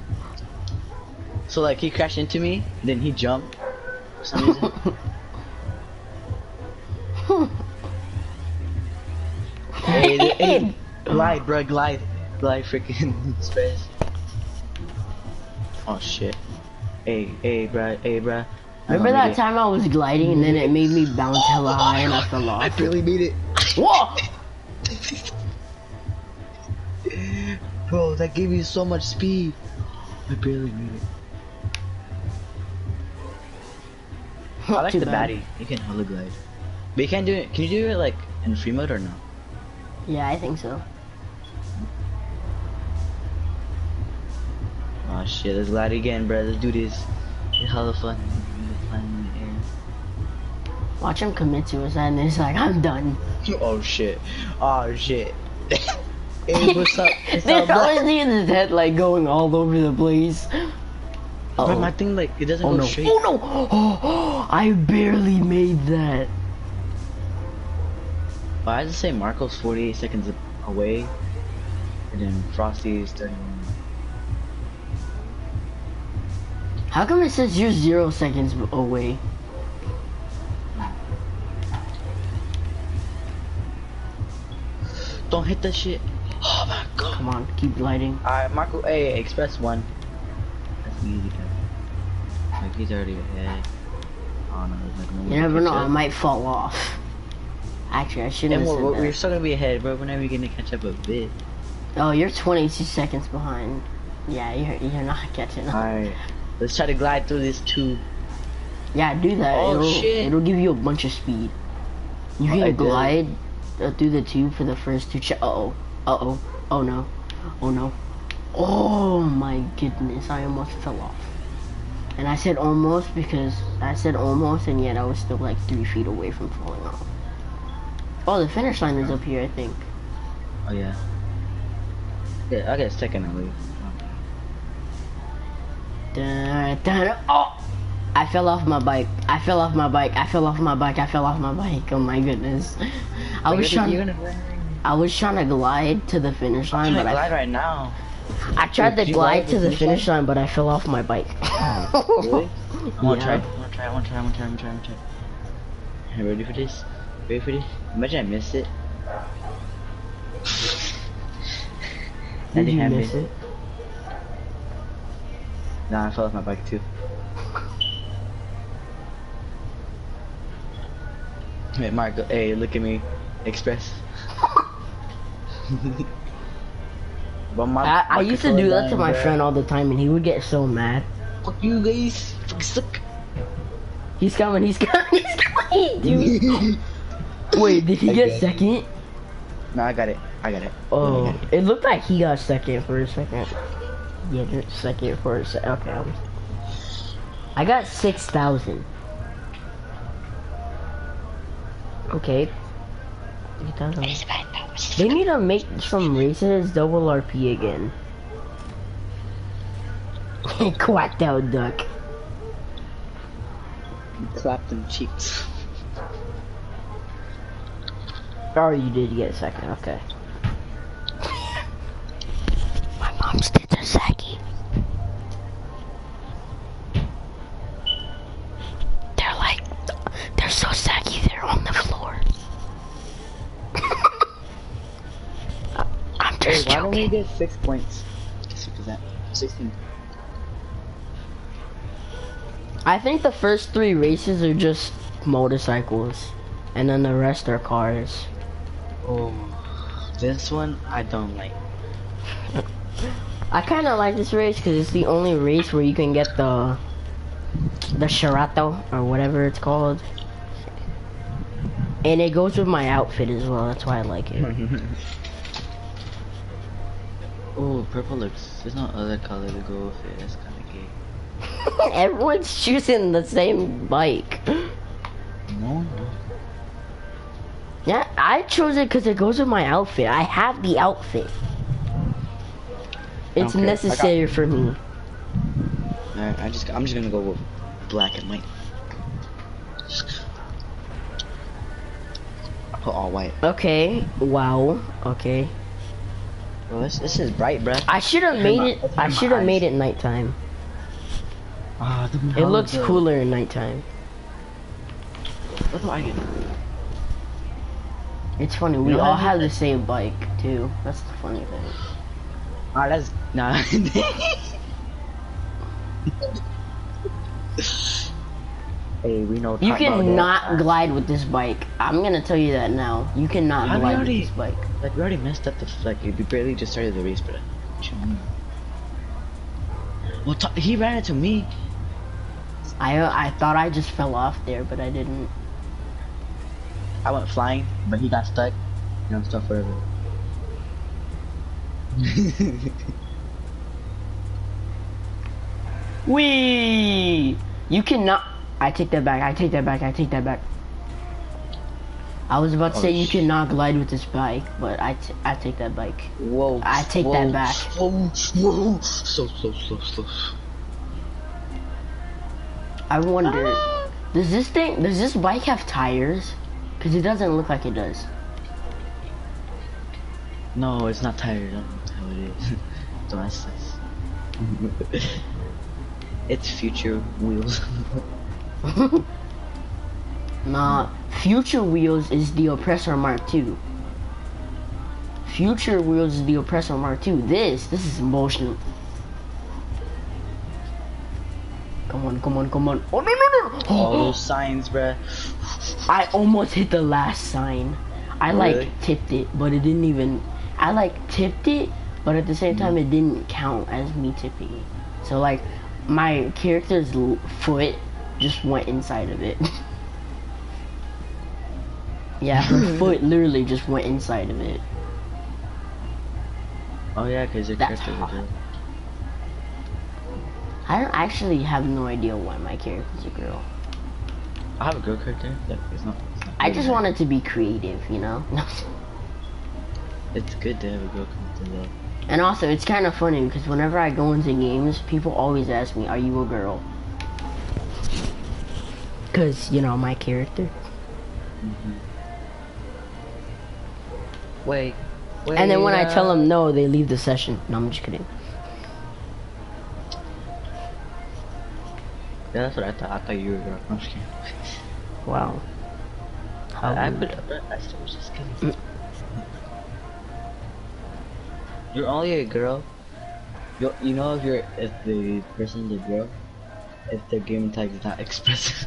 S1: so, like, he crashed into me, then he jumped for
S2: glide, bro, glide. Glide freaking space. Oh shit. Hey, hey, bruh, hey, bruh. Remember oh, that time I was gliding and then it made me
S1: bounce oh, hella high off the fell I really made
S2: it. Whoa! Bro, that gave you so much speed. I barely made it. I like the bad. baddie. You can hologlide. But you can't do it. Can you do it like in free mode or no?
S1: Yeah, I think so. Oh shit, let's glide again, bro. Let's do this. It's hella fun. Watch him commit to suicide and he's like, I'm done. oh shit. Oh shit. hey, what's up? It's There's always in his head like going all over the place. Uh -oh. my thing like, it doesn't oh, go no. straight. Oh no! oh, I barely made that.
S2: Why I just say Marco's 48 seconds away, and then Frosty is 31.
S1: How come it says you're zero seconds away? Don't hit that shit. Oh my god. Come on, keep lighting. Alright, Marco, hey, Express 1.
S2: That's easy, Like, already ahead you never know, I might
S1: fall off. Actually, I shouldn't have we're, still gonna be ahead, bro. we are we gonna catch up a bit? Oh, you're 22 seconds behind. Yeah, you're, you're not catching up. Alright, let's try to glide through this tube. Yeah, do that. Oh, it'll, shit. It'll give you a bunch of speed. You can glide uh, through the tube for the first two oh Uh-oh. Oh, no. Oh no. Oh my goodness, I almost fell off. And I said almost because I said almost and yet I was still like three feet away from falling off. Oh, the finish line is up here, I think. Oh yeah. Yeah, I guess technically. Dun, dun, oh! I fell off my bike. I fell off my bike. I fell off my bike. I fell off my bike. Oh my goodness. I was trying. I was trying to glide to the finish line, but I glide right now. I tried Did to glide to the, the finish line? line, but I fell off my bike. Oh, really? I want to try. I want to try. I want to try. I want to try. I want to try. I want to try. Hey, ready for this? Ready for this? Imagine I miss it. Did you miss it?
S2: Nah, I fell off my bike too. Hey, Michael. hey, look at me. Express.
S1: but my, I, used to do that to my friend all the time, and he would get so mad. Fuck you guys. Suck. He's coming, he's coming, he's coming, Wait, did he get second? No, I got it. I got it. Oh, it. looked like he got second for a second. Yeah, second for a second. Okay. I got 6,000. Okay. They need to make some races double RP again. Quacked out duck. Clap them cheeks. Oh, you did get a second, okay. My mom's tits are saggy. They're like, they're so saggy they're on the floor.
S2: Why don't we get six points? Six percent. Sixteen.
S1: I think the first three races are just motorcycles and then the rest are cars. Oh, this one I don't like. I kind of like this race because it's the only race where you can get the the Shirato or whatever it's called. And it goes with my outfit as well, that's why I like it. oh, purple looks. There's no other color to go with it, that's kinda gay. Everyone's choosing the same bike. No. Yeah, I chose it because it goes with my outfit. I have the outfit. It's necessary for me. Alright, I just I'm just gonna go with black and white. I Put all white. Okay. Wow. Okay. this this is bright, bro. I should have made it. I should have made it nighttime. Ah, it looks cooler in nighttime. That's what I get. It's funny, we all have the same bike, too. That's the funny thing. Ah, that's... Nah. hey, we know... You cannot glide with this bike. I'm gonna tell you that now. You cannot glide already, with this bike. But you already missed it step the flag.
S2: You barely just started the race, but
S1: Well, he ran into me. I I thought I just fell off there, but I didn't. I went flying, but he got stuck. You know, stuck forever. Wee! You cannot. I take that back. I take that back. I take that back. I was about to oh, say you oh, cannot glide with this bike, but I, I take that bike. Whoa. I take whoa, that back. Whoa, whoa. So, so, so, so. I wonder, ah. does this thing, does this bike have tires? Because it doesn't look like it does. No, it's not tires. I don't know how it is. Don't ask this. It's future wheels. nah, future wheels is the oppressor mark two. Future wheels is the oppressor mark two. This, this is bullshit. Come on, come on, come on. Oh no no no! All those signs, bruh. I almost hit the last sign. I really? like tipped it, but it didn't even. I like tipped it, but at the same hmm. time, it didn't count as me tipping it. So like my character's foot just went inside of it. yeah, her hmm. foot literally just went inside of it. Oh yeah, because your That's are girl. I actually have no idea why my character's a girl.
S2: I have a girl character. Look, not. I just wanted to
S1: be creative, you know. It's good to have a girl come to love. And also, it's kind of funny because whenever I go into games, people always ask me, "Are you a girl?" Because you know my character. Mm-hmm. Wait, And then when I tell them no, they leave the session. No, I'm just kidding.
S2: Yeah, that's what I thought. I thought you were a girl. I'm just kidding. Wow. How I, I'm just kidding. Mm. you're only a girl. You you know if you're if the person's a girl, if their gaming tag is not espresso.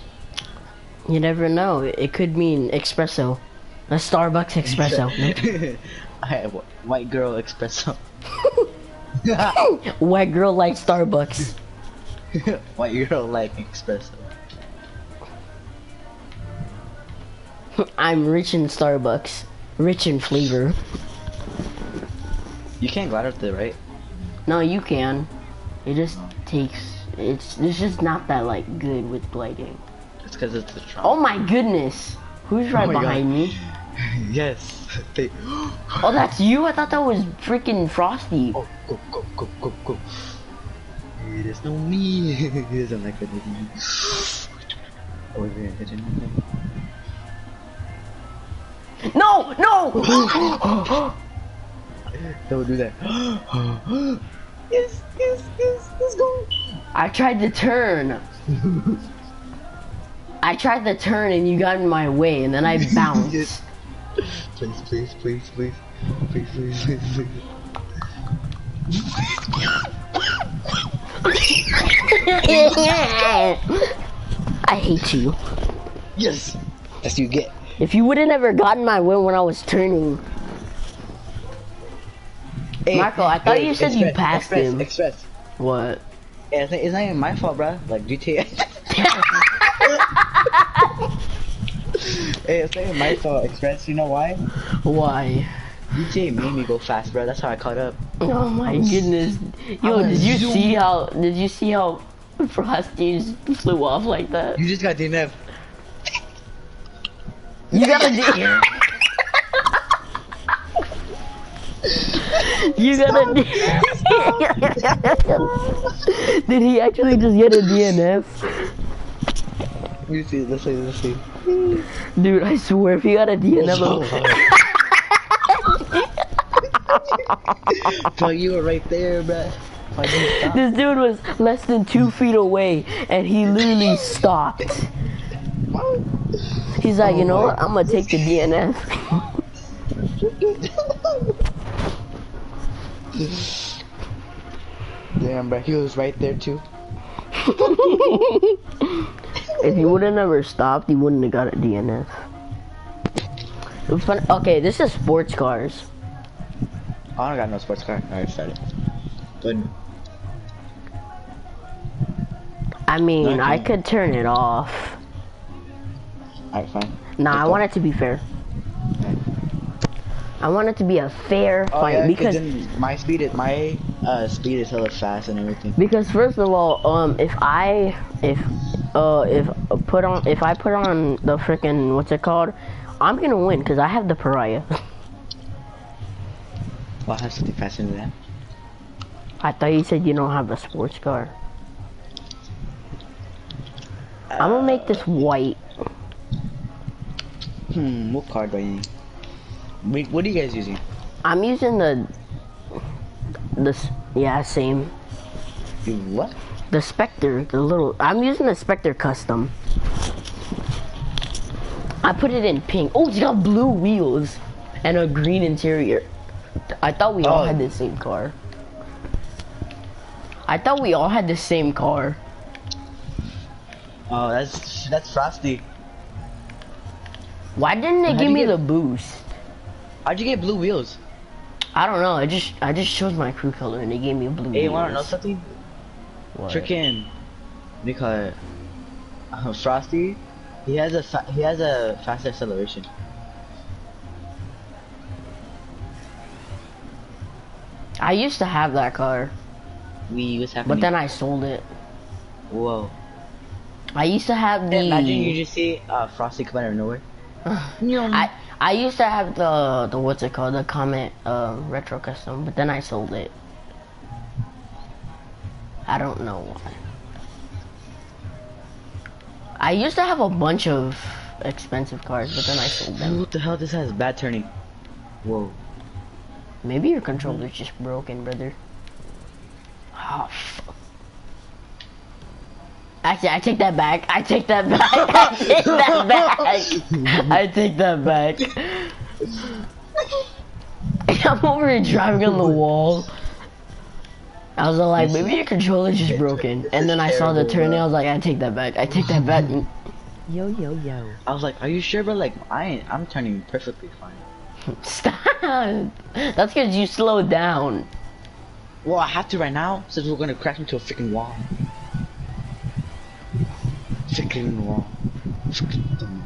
S1: you never know. It could mean espresso, a Starbucks espresso. no? White girl espresso. White girl like Starbucks.
S2: White girl like espresso.
S1: I'm rich in Starbucks. Rich in flavor.
S2: You can't glide up there, right?
S1: No, you can. It just takes. It's it's just not that like good with gliding. It's because it's the. Trauma. Oh my goodness! Who's oh right behind me? yes, they. oh, that's you? I thought that was freaking Frosty. Oh, go, go, go, go, go. It is no me. he doesn't like that. Oh, wait, No, no! Don't do that.
S2: yes, yes, yes, let's go.
S1: I tried to turn. I tried to turn and you got in my way and then I bounced.
S2: Please, please, please, please. Please, please, please,
S1: I hate you. Yes. That's you get. If you would have ever gotten my way when I was turning.
S2: Michael, I thought you said you passed him.
S1: What? it's, not even my fault, bro. Like GTA. hey, it's not even my fault, Express. You know why? Why? DJ made me go fast, bro. That's how I caught up. Oh my oh goodness! Yo, did you see how? Did you see how Frosty just flew off like that? You just got DNF. You got a DNF. you got a DNF. Did he actually just get a DNF?
S2: You see, let's see, let's see.
S1: Dude, I swear if he got a DNF.
S2: So bro, you were right there,
S1: bro. This dude was less than two feet away, and he literally stopped. He's like, you know oh what? I'm gonna take the DNF. Damn, but he was right there too. if he would have never stopped, he wouldn't have got a DNF. It was Okay, this is sports cars. I don't got no sports car. I started. Good. I mean, I could turn it off. Alright, fine. Nah, I want it to be fair. I want it to be a fair oh, fight because my speed is my uh, speed is hella fast and everything. Because first of all, um, if I if uh if put on if I put on the freaking what's it called, I'm gonna win because I have the pariah. What has have something faster than that. I thought you said you don't have a sports car. I'm gonna make this white. Hmm, what car do I what are you guys using? I'm using the... This, yeah, same. what? The Spectre, the little... I'm using the Spectre Custom. I put it in pink. Oh, it's got blue wheels and a green interior. I thought we all had the oh. same car. I thought we all had the same car. Oh, that's that's frosty. Why didn't they give me the boost? How'd you get blue wheels? I don't know. I just I just chose my crew color and they gave me blue. Hey, wheels. you wanna know something? What? Freaking, we uh, frosty he has a he has a fast acceleration. I used to have that car. We was having. But then I sold it. Whoa. I used to have the. Imagine you just see uh, Frosty come out of nowhere. I I used to have the the what's it called the Comet uh, retro custom, but then I sold it. I don't know why. I used to have a bunch of expensive cars, but then I sold them. What the hell? This has bad turning. Whoa. Maybe your controller's just broken, brother. Oh, fuck. Actually, I take that back. I take that back. I take that back. I take that back. I'm over here driving on the wall. I was like, maybe your controller's just broken. And then I saw the turn, and I was like, I take that back. I take that back. yo, yo, yo. I was like, are you sure? But like, I ain't, I'm turning perfectly fine. Stop. That's because you slowed down. Well, I have to right now, since we're gonna crash into a freaking wall.
S2: Freaking wall. Freaking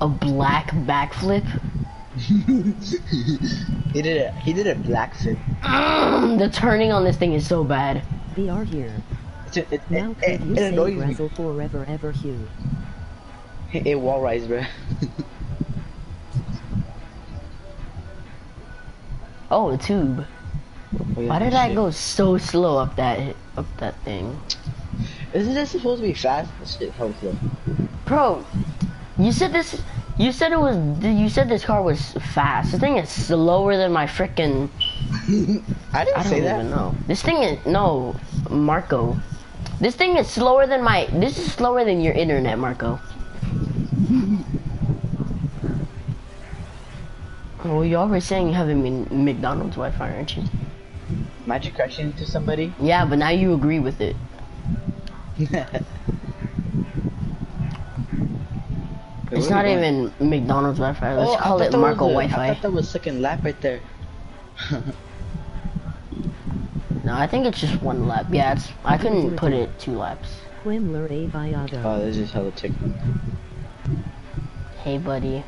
S1: a black backflip? he did a he did a black flip. the turning on this thing is so bad. We are here. it, now it,
S2: it, wall rise, bro.
S1: oh, a tube. Oh, Why did I go so slow up that up that thing. Isn't this supposed to be fast? Shit, Bro, you said this. You said it was. You said this car was fast. This thing is slower than my freaking. I didn't I say that. No, this thing is no, Marco. This thing is slower than my. This is slower than your internet, Marco. well, you all were saying you have not been McDonald's Wi-Fi, aren't you? Magic correction to somebody? Yeah, but now you agree with it. it's not even McDonald's Wi-Fi. Let's oh, call it Marco Wi-Fi. I thought that was second lap right there. no, I think it's just one lap. Yeah, it's. I couldn't put it two laps. Oh, this is how the tick. Hey, buddy.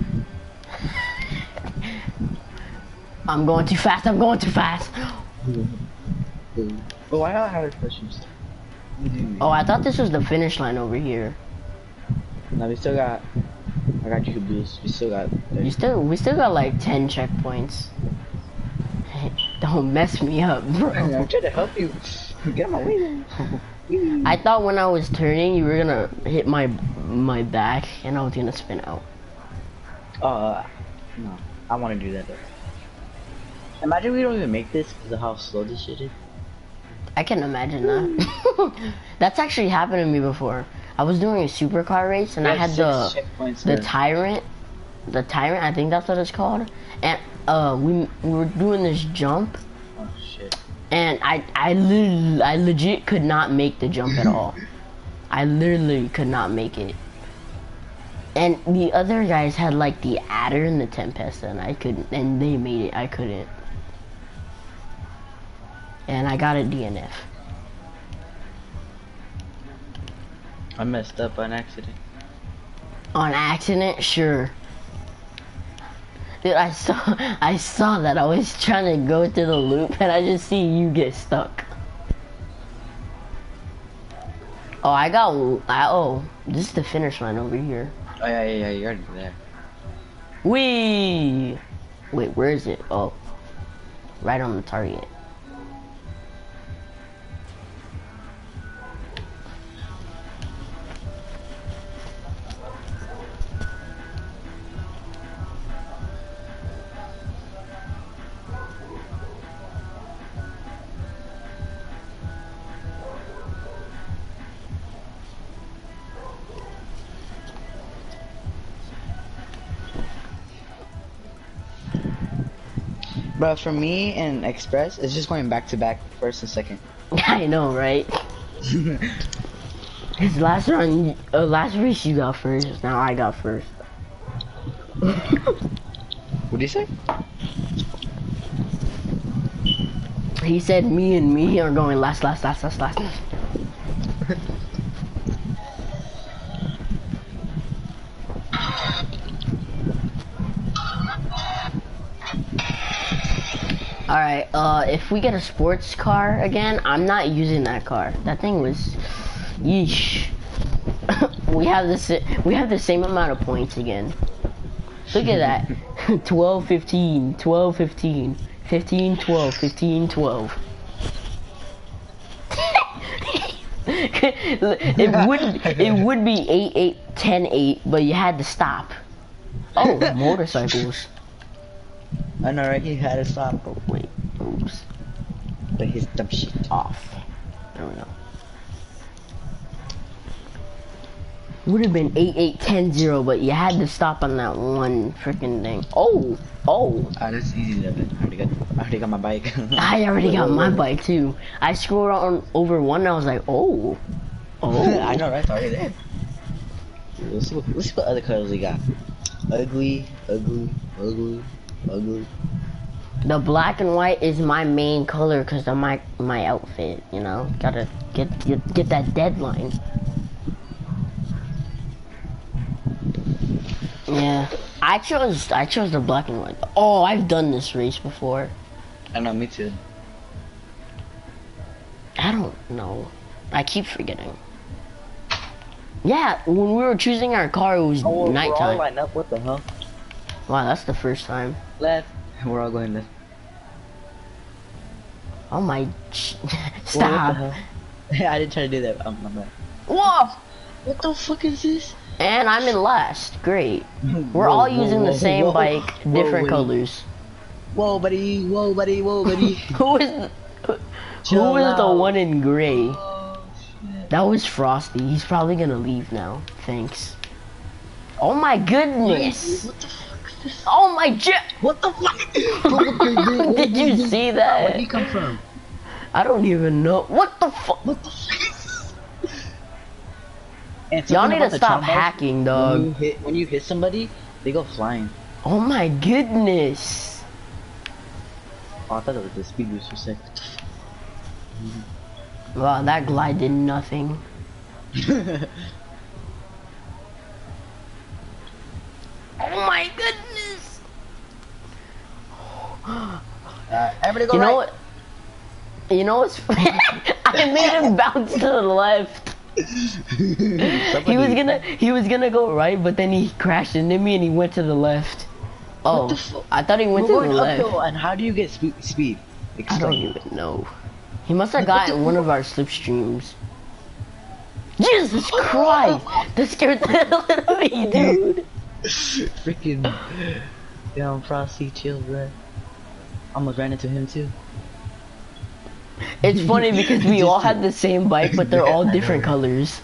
S1: I'm going too fast, I'm going too fast. Oh, I got questions. Oh, I thought this was the finish line over here. No, we still got. I got you, boost. We still got. You still. We still got like ten checkpoints. Don't mess me up, bro. I'm trying
S2: to help you. Get my way.
S1: I thought when I was turning, you were gonna hit my my back and I was gonna spin out. Uh, no. I wanna do that though. Imagine we don't even make this because of how slow this shit is. I can not imagine that. That's actually happened to me before. I was doing a supercar race and I had the the tyrant, the tyrant. I think that's what it's called. And uh, we we were doing this jump. Oh, and I I, I legit could not make the jump at all. I literally could not make it. And the other guys had like the adder and the tempest, and I couldn't. And they made it. I couldn't. And I got a DNF. I messed up on accident. On accident, sure. Dude, I saw I saw that I was trying to go through the loop and I just see you get stuck. Oh, I got oh, this is the finish line over here. Oh yeah, yeah, yeah, you're there. We. Wait, where is it? Oh. Right on the target. But for me and Express, it's just going back to back first and second. I know, right? His last run, uh, last race you got first, now I got first. what do you say? He said me and me are going last, last, last, last, last. Alright, uh, if we get a sports car again, I'm not using that car. That thing was, yeesh. we have this. We have the same amount of points again. Look at that. 12, 15, 12, 15, 15, 12, 15, 12. it would it would be 8 8 10 8 but you had to stop oh motorcycles I know right, he had a side, but wait, oops. But his dumb shit off. There we go. Would have been eight eight 8810 but you had to stop on that one freaking thing. Oh, oh. Ah, that's easy level. I already got, I already got my bike. I already got my bike too. I scrolled on over one and I was like, oh. Oh. I know, right? It's already did. Let's see what, other colors we got. Ugly, ugly, ugly, ugly. The black and white is my main color because of my my outfit. You know, gotta get get, get that deadline. Yeah, I chose I chose the black and white. Oh, I've done this race before. I know, me too. I don't know. I keep forgetting. Yeah, when we were choosing our car, it was oh, nighttime. We're
S2: all up. What the hell?
S1: Wow, that's the first time. Left. We're all going left. Oh my! Stop. I didn't try to do that. I'm, oh, Whoa! What the fuck is this? And I'm in last. Great. We're all using the same bike, different colors. Whoa, buddy. Whoa, buddy. Whoa, buddy. who is who, who is the one in gray? Oh, that was Frosty. He's probably gonna leave now. Thanks. Oh my goodness. What the fuck is this? Oh my god! What the fuck? Did you see that? Where'd he come from? I don't even know. What the fuck? What Y'all need to stop hacking, dog. when you hit somebody, they go flying. Oh my goodness! Oh, I thought it was the speed boost for a sec. Mm -hmm. Wow, that glide did nothing. oh my goodness! Uh, everybody go you right. know what? You know what's? I made him bounce to the left he was gonna he was gonna go right, but then he crashed into me and he went to the left. Oh, I thought he went to the left. And how do you get speed? Explain. I don't even know. He must have got one of our slipstreams. Jesus Christ! that scared the hell out of me, dude. Freaking down
S2: frosty chill, bro. I almost
S1: ran into him too. It's funny because we all had the same bike, but they're all different colors.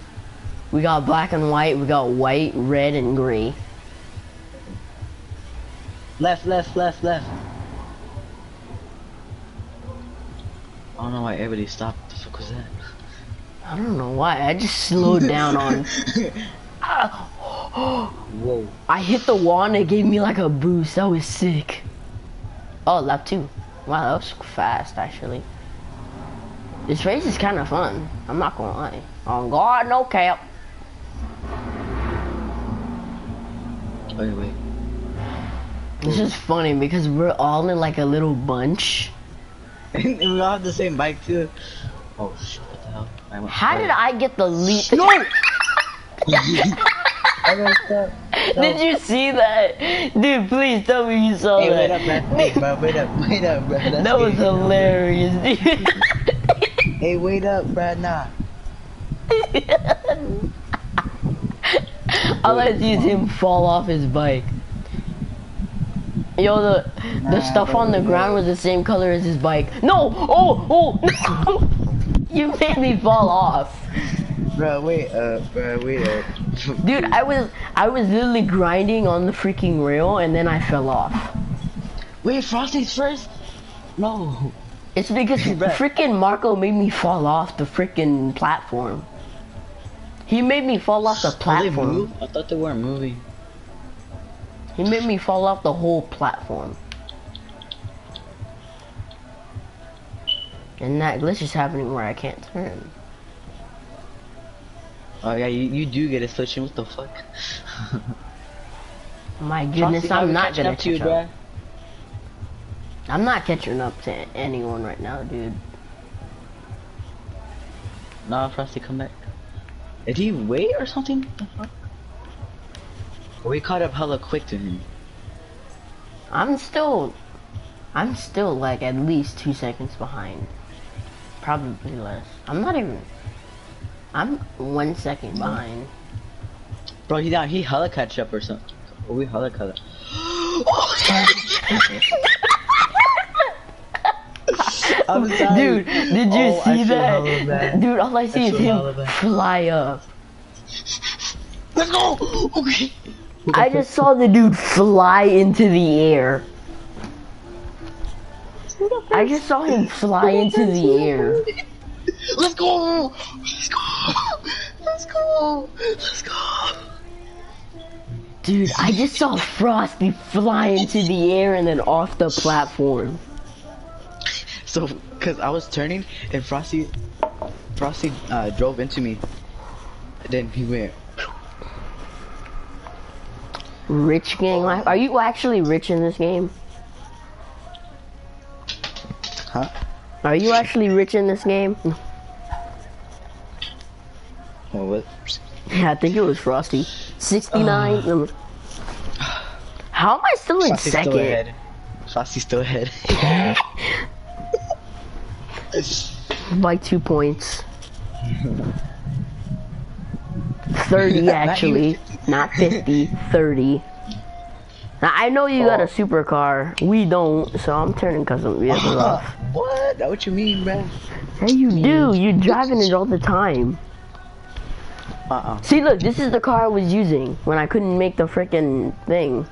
S1: We got black and white, we got white, red, and gray. Left, left, left, left. I don't know why everybody
S2: stopped. What was that?
S1: I don't know why. I just slowed down on. ah, Whoa. I hit the wall and it gave me like a boost. That was sick. Oh, lap two. Wow, that was fast, actually. This race is kind of fun. I'm not gonna lie. On God, no cap. Wait, oh, wait. This is funny because we're all in like a little bunch. and we all have the same bike too. Oh shit! What the hell? How did I get the lead? No.
S2: I
S1: messed up. Did you see that? Dude, please tell me you saw hey, that. Wait up, bro. Hey, bro. Wait up, wait up, bro. That's that was crazy. hilarious, dude. hey, wait up, bro. Nah. All I see is him fall off his bike. Yo, the nah, the stuff on the ground was the same color as his bike. No! Oh! Oh! you made me fall off.
S2: Bro, wait up, uh, bro, wait up.
S1: Uh. Dude, I was I was literally grinding on the freaking rail and then I fell off. Wait, Frosty's first? No. It's because freaking Marco made me fall off the freaking platform. He made me fall off the platform. I thought they weren't moving. He made me fall off the whole platform. And that glitch is happening where I can't turn. Oh yeah, you, you do get a switching, what the fuck? My goodness, I'm not gonna catch you, up. I'm not catching up to anyone right now, dude. Nah, Frosty, come back. Did he wait or something?
S2: We oh, caught up hella quick to him.
S1: I'm still, I'm still like at least two seconds behind. Probably less. I'm not even, I'm one second mm-hmm. behind. Bro, he down, he hella catch up or something. Or oh, we hella color. Dude, did you oh, see that? Dude, all I see is him fly up. Let's go! Okay. I just saw the dude fly into the air. I just saw him fly into the air. Let's go!
S2: Let's go! Let's go! Let's
S1: go! Dude, I just saw Frosty fly into the air and then off the platform. So, cause I was turning and Frosty, Frosty uh, drove into me then he went. Rich gang life. Are you actually rich in this game? Huh? Are you actually rich in this game? Oh, what? Yeah, I think it was Frosty. 69. Uh. How am I still in second? Still
S2: Frosty's still ahead.
S1: It's by two points. 30 actually, not 50, 30. Now, I know you got a oh. supercar. We don't, so I'm turning custom vehicles off.
S2: What? That what you mean, man?
S1: Hey, you do. you driving it all the time. Uh-uh. See, look, this is the car I was using when I couldn't make the freaking thing.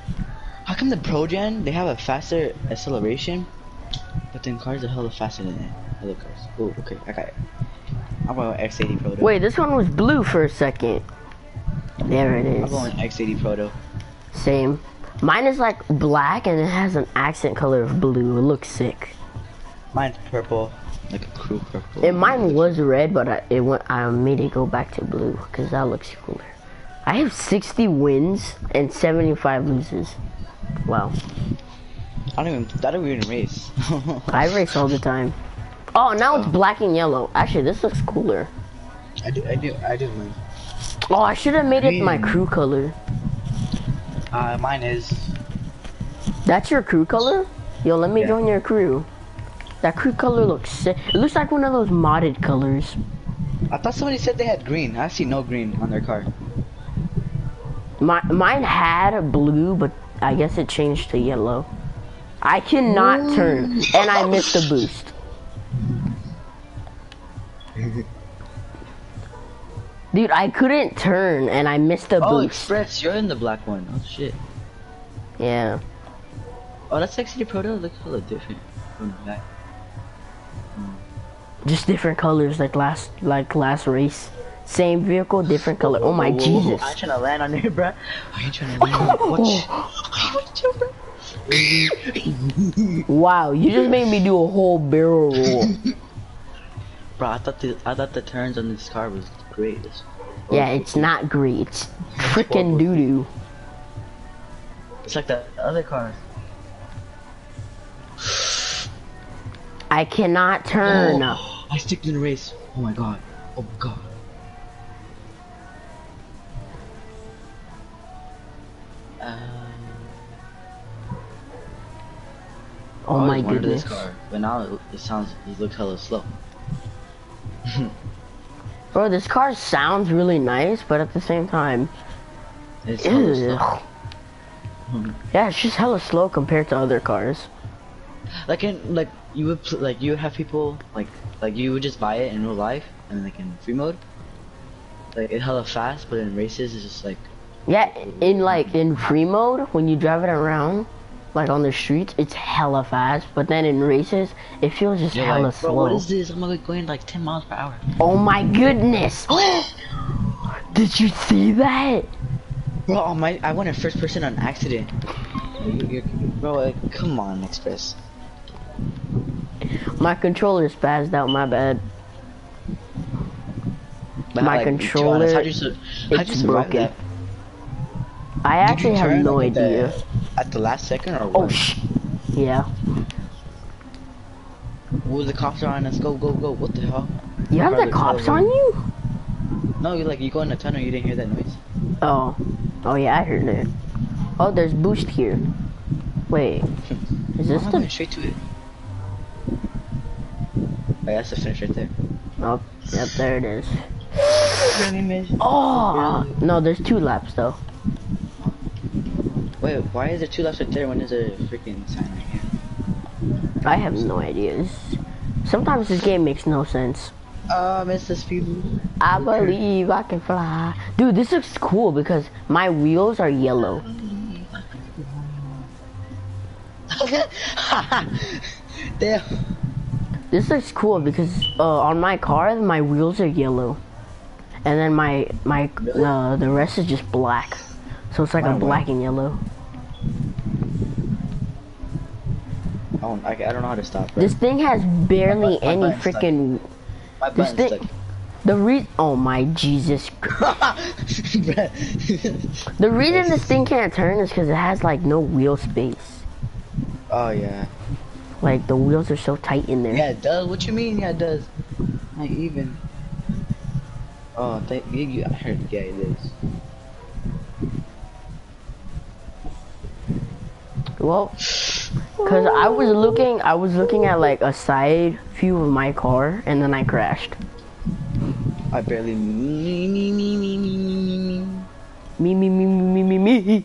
S1: How come the Progen they have a faster acceleration, but then cars are hella faster than that? Other cars. Oh, okay, I got it. I'm going X80 Proto. Wait, this one was blue for a second. There it is. I'm going X80 Proto. Same. Mine is like black and it has an accent color of blue. It looks sick.
S2: Mine's purple, like a cool purple. And
S1: mine was red, but it went. I made it go back to blue because that looks cooler. I have 60 wins and 75 losses. Wow. I don't even, I do even race. I race all the time. Oh, now it's oh. black and yellow. Actually, this looks cooler.
S2: I do, I do, I do mine.
S1: Oh, I should have made it my crew color.
S2: Uh, mine is.
S1: That's your crew color? Yo, let me join your crew. That crew color looks It looks like one of those modded colors. I thought somebody said they had green. I see no green on their car. My, mine had a blue, but I guess it changed to yellow. I cannot mm. turn, and I missed the boost. Dude, I couldn't turn, and I missed the oh, boost. Oh, Express, you're in the black one. Oh, shit. Yeah. Oh, that sexy the proto. Looks a little different. Mm. Just different colors, like last, like last race. Same vehicle, different color. Oh my whoa, whoa, Jesus! trying
S2: to land on you, bro. I ain't trying to land on you.
S1: Watch. wow, you just made me do a whole barrel roll.
S2: Bro, I thought the I thought the turns on this car was great.
S1: yeah, it's not great. It's freaking doo doo. It's like that other car. I cannot turn. Oh, I sticked
S2: in the race. Oh my god. Oh my god. oh my goodness. This car, but now it, it sounds, it looks hella slow.
S1: Bro, this car sounds really nice, but at the same time, it's yeah, it's just hella slow compared to other cars. Like in like you would like you would have people like like you would just buy it in real life and like in free mode, like it hella fast, but in races it's just like yeah, in like in free mode when you drive it around, like on the streets, it's hella fast. But then in races, it feels just yeah, hella slow. What is this? I'm like going like 10 miles. Oh my goodness! Did you see that? Well, my, I went first person on accident. Bro, come on, Express. My controller's spazzed out, my bad. my controller, honest, how'd you, broken. I actually have no idea. at the last second or oh, what? Oh, sh yeah. Ooh, the cops are on us. Go, go, go. What the hell? You have the cops on you? No, you like you go in the tunnel. You didn't hear that noise. Oh, oh yeah, I heard it. Oh, there's boost here. Wait, is this the? straight to it. I oh, that's the finish right there. Oh, yep, there it is.
S2: Really oh,
S1: no, there's two laps though. Wait, why is there two left right there when there's a freaking sign right here? I have no ideas. Sometimes this game makes no sense. Um, it's the I believe I can fly. Dude, this looks cool because my wheels are yellow. Damn. This looks cool because uh, on my car, my wheels are yellow and then my my uh, the rest is just black. So it's like a black and yellow. Oh, I, don't know how to stop. This thing has barely any freaking. This thing. The re oh my Jesus. the reason this thing can't turn is because it has like no wheel space. Oh yeah. Like the wheels are so tight in there. Yeah,
S2: it does. What you mean? Yeah, it does. Not even. Oh, thank you. I heard the guy this.
S1: Well, cause I was looking, I was looking at like a side view of my car, and then I crashed. I barely me me me me me me me me me me me me me me.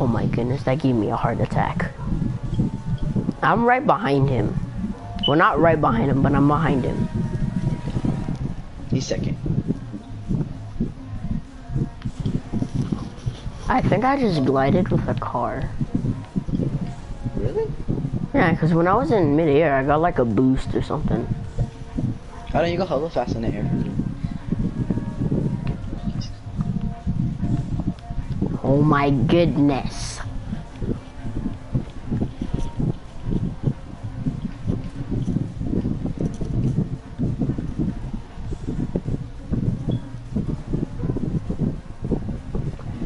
S1: Oh my goodness, that gave me a heart attack. I'm right behind him. Well, not right behind him, but I'm behind him. He's second. I think I just glided with a car. Really? Yeah, because when I was in midair, I got like a boost or something. Why don't you go hella fast in the air? Oh my goodness.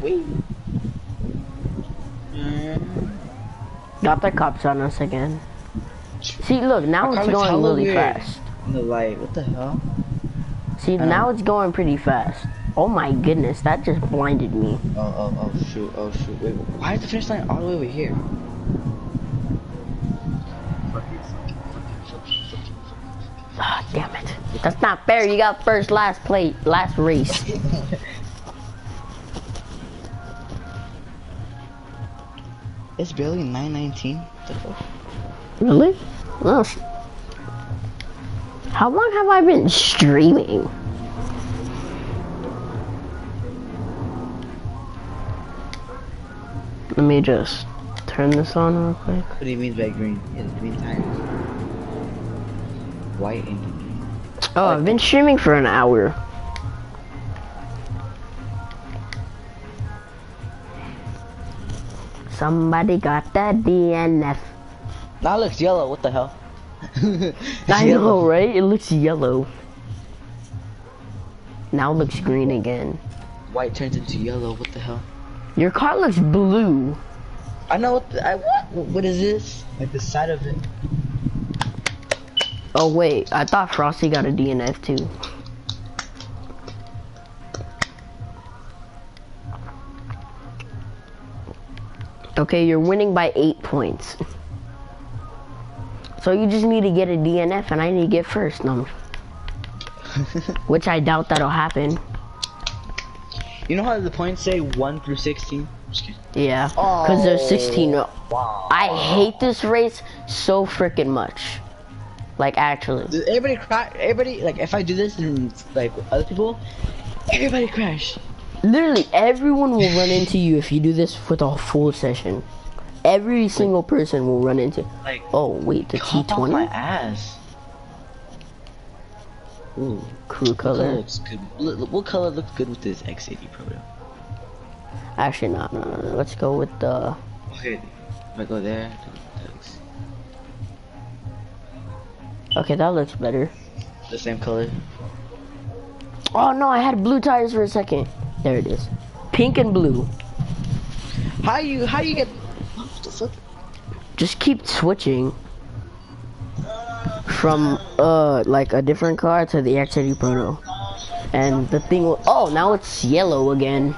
S1: Wee. Got the cops on us again. See, look, now it's going really fast. And they're what the hell? See, now it's going pretty fast. Oh my goodness, that just blinded me. Oh, oh, oh, shoot, oh, shoot. Wait, why is the finish line all the way over here? Ah, oh, damn it. That's not fair. You got first, last plate, last race. it's barely
S2: 919.
S1: Really? Well, how long have I been streaming? Let me just turn this on real quick.
S2: What do you mean by green? In green time. White and green.
S1: Oh, I've been streaming for an hour. Somebody got the DNF. That looks yellow, what the hell? I yellow. right? It looks yellow. Now it looks green again.
S2: White turns into yellow, what the hell?
S1: Your car looks blue. I know, what, I, what, what is this? Like the side of it. Oh wait, I thought Frosty got a DNF too. Okay, you're winning by eight points. So you just need to get a DNF and I need to get first. No. Which I doubt that'll happen.
S2: You know how the points say 1 through 16?
S1: Yeah, because oh, there's 16. Wow. I hate this race so freaking much. Like actually. Does everybody crash? Everybody like if I do this and like other people, everybody crash. Literally, everyone will run into you if you do this with a full session. Every single person will run into. Like, oh wait, the T twenty. my ass. Ooh, crew color. What color, looks good
S2: with this X80 Proto?
S1: Actually, not. Let's go with the. If I go there, Okay, that looks better. The same color. Oh no, I had blue tires for a second. There it is. Pink and blue. How you how you get what the fuck? Just keep switching from uh like a different car to the X80 Proto. And the thing oh now it's yellow again.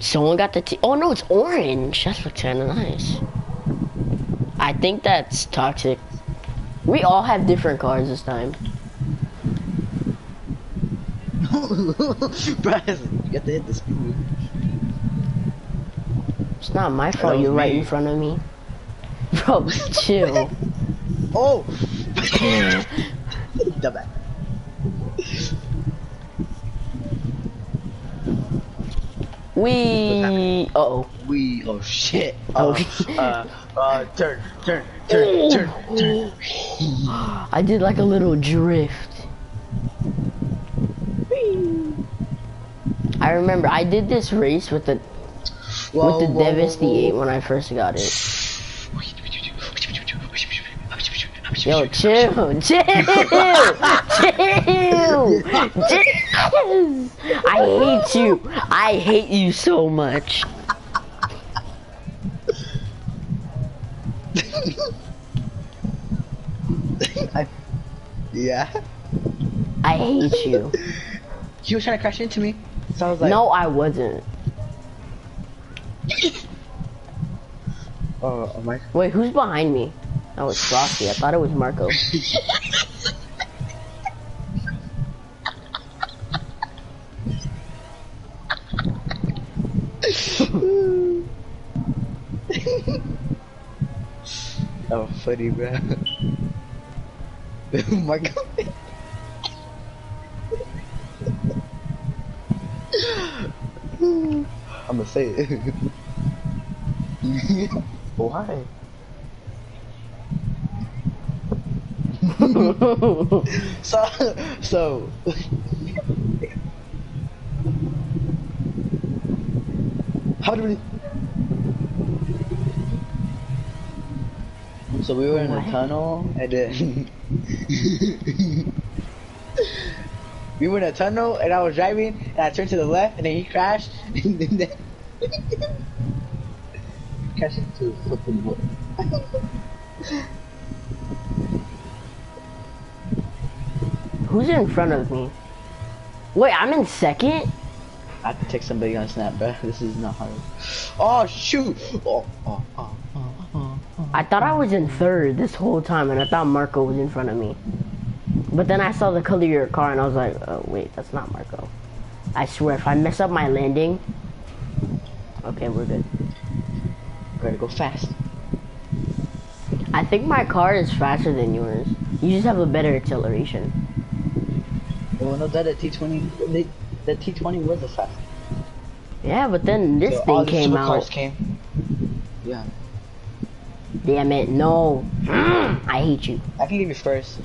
S1: Someone got the T. Oh no, it's orange. That's looks kind of nice. I think that's toxic. We all have different cards this time. No, Brian, you got to hit the speed. It's not my fault you're right in front of me. Bro, chill. oh! Dumbass. We. oh. We. Oh shit. Oh. turn, turn, turn, turn, turn. I did like a little drift. I remember I did this race with the whoa, with the whoa, when I first got it. Yo, chill, chill, chill, chill. I hate you. I hate you so much. I, yeah. I hate you. She was trying to crash into me, so I was like. No, I wasn't. Uh, Wait, who's behind me? That was Frosty. I thought it was Marco.
S2: that was funny, bro. Marco. I'm gonna say it. Why? so, so. How do we? So we were in the tunnel,
S1: and then we were in a tunnel and I was driving and I turned to the left and then he crashed and into fucking wood. Who's in front of me? Wait, I'm in second? I have to take somebody on snap, bro. This is not hard. Oh shoot! oh, oh, oh, oh. oh. I thought I was in third this whole time, and I thought Marco was in front of me. But then I saw the color of your car, and I was like, oh, wait, that's not Marco. I swear, if I mess up my landing... Okay, we're good. gotta go fast. I think my car is faster than yours. You just have a better acceleration.
S2: Well, no, that T20, that T20 was a fast.
S1: Yeah, but then this thing came out. Yeah. Damn it, no. I hate you. I can leave you first.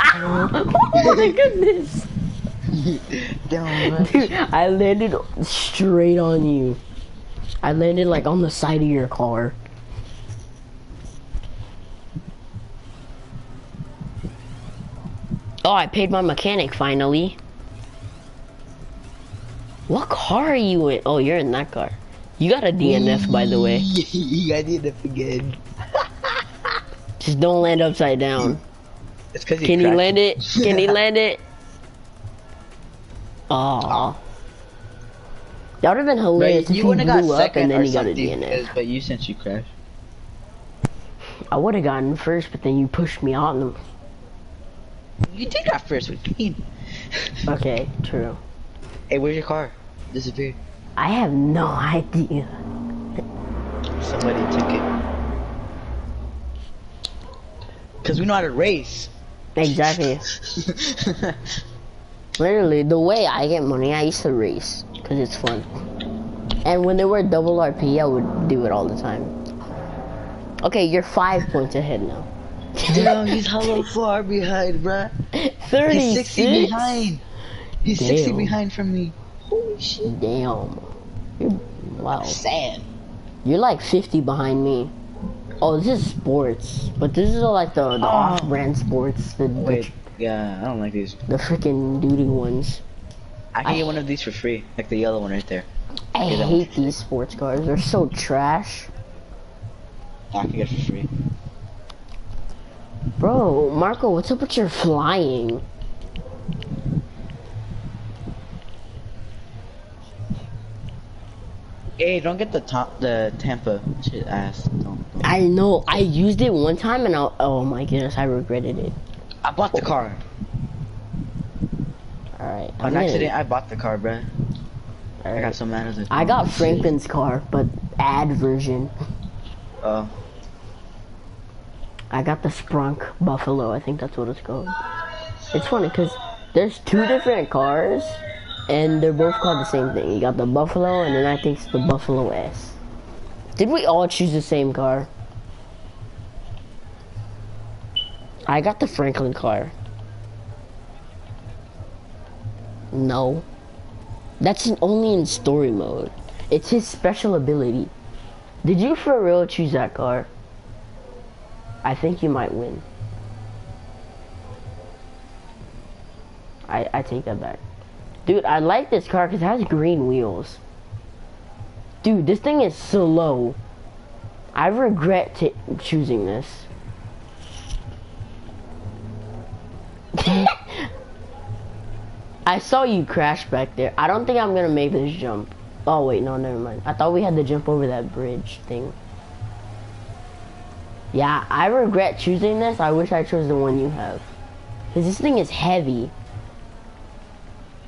S2: Ah! oh my goodness!
S1: Dude, I landed straight on you. I landed like on the side of your car. Oh, I paid my mechanic finally. What car are you in? Oh, you're in that car. You got a DNF, by the way. you got DNF again. Just don't land upside down. Can you land it? Can he land it? Oh, That would have been hilarious you would have blew got up and then he got a DNF. But you since you crashed. I would have gotten first, but then you pushed me on them. You did that first with Keen. okay, true. Hey, where's your car? Disappeared. I have no idea. Somebody took it. Cause we know how to race. Exactly. Literally, the way I get money, I used to race because it's fun. And when there were double RP, I would do it all the time. Okay, you're five points ahead now. Damn, he's how far behind, bruh. 30 He's 60 behind. He's 60 behind from me. Holy shit. Damn. You're, wow. Sad. You're like 50 behind me. Oh, this is sports. But this is like the, the oh. off-brand sports. The, Wait, yeah, I don't like these. The freaking duty ones. I can get one of these for free, like the yellow one right there. I hate these sports cars. They're so trash. I can get for free. Bro, Marco, what's up with your flying? Hey, don't get the top, the Tampa shit ass. Don't, don't. I know. I used it one time and I. Oh my goodness, I regretted it. I bought the car. Alright. On accident, I bought the car, bro. I got so mad at I got Franklin's car, but ad version. Oh. I got the Sprunk Buffalo. I think that's what it's called. It's funny because there's two different cars, and they're both called the same thing. You got the Buffalo, and then I think it's the Buffalo S. Did we all choose the same car? I got the Franklin car. No. That's only in story mode. It's his special ability. Did you for real choose that car? I think you might win. I, I take that back. Dude, I like this car because it has green wheels. Dude, this thing is slow. I regret choosing this. I saw you crash back there. I don't think I'm gonna make this jump. Oh wait, no, never mind. I thought we had to jump over that bridge thing. Yeah, I regret choosing this. I wish I chose the one you have. Cause this thing is heavy.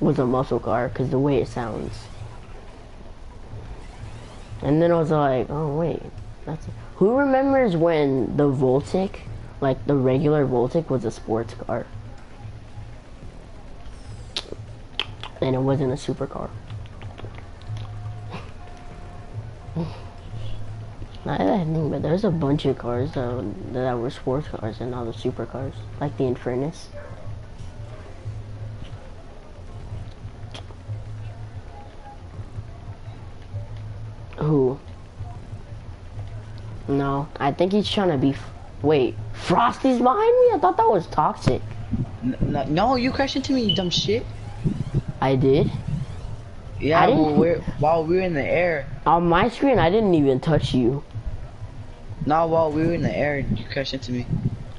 S1: was a muscle car because the way it sounds. And then I was like, oh wait, Who remembers when the Voltic, like the regular Voltic, was a sports car? And it wasn't a supercar. Not that but there's a bunch of cars that, that were sports cars and not the supercars, like the Infernus. Who? No, I think he's trying to be. Wait, Frosty's behind me? I thought that was toxic. No, you crashed into me, you dumb shit. I did. Yeah, I we're, while we were in the air. On my screen, I didn't even touch you. Now while we were in the air, you crashed into me.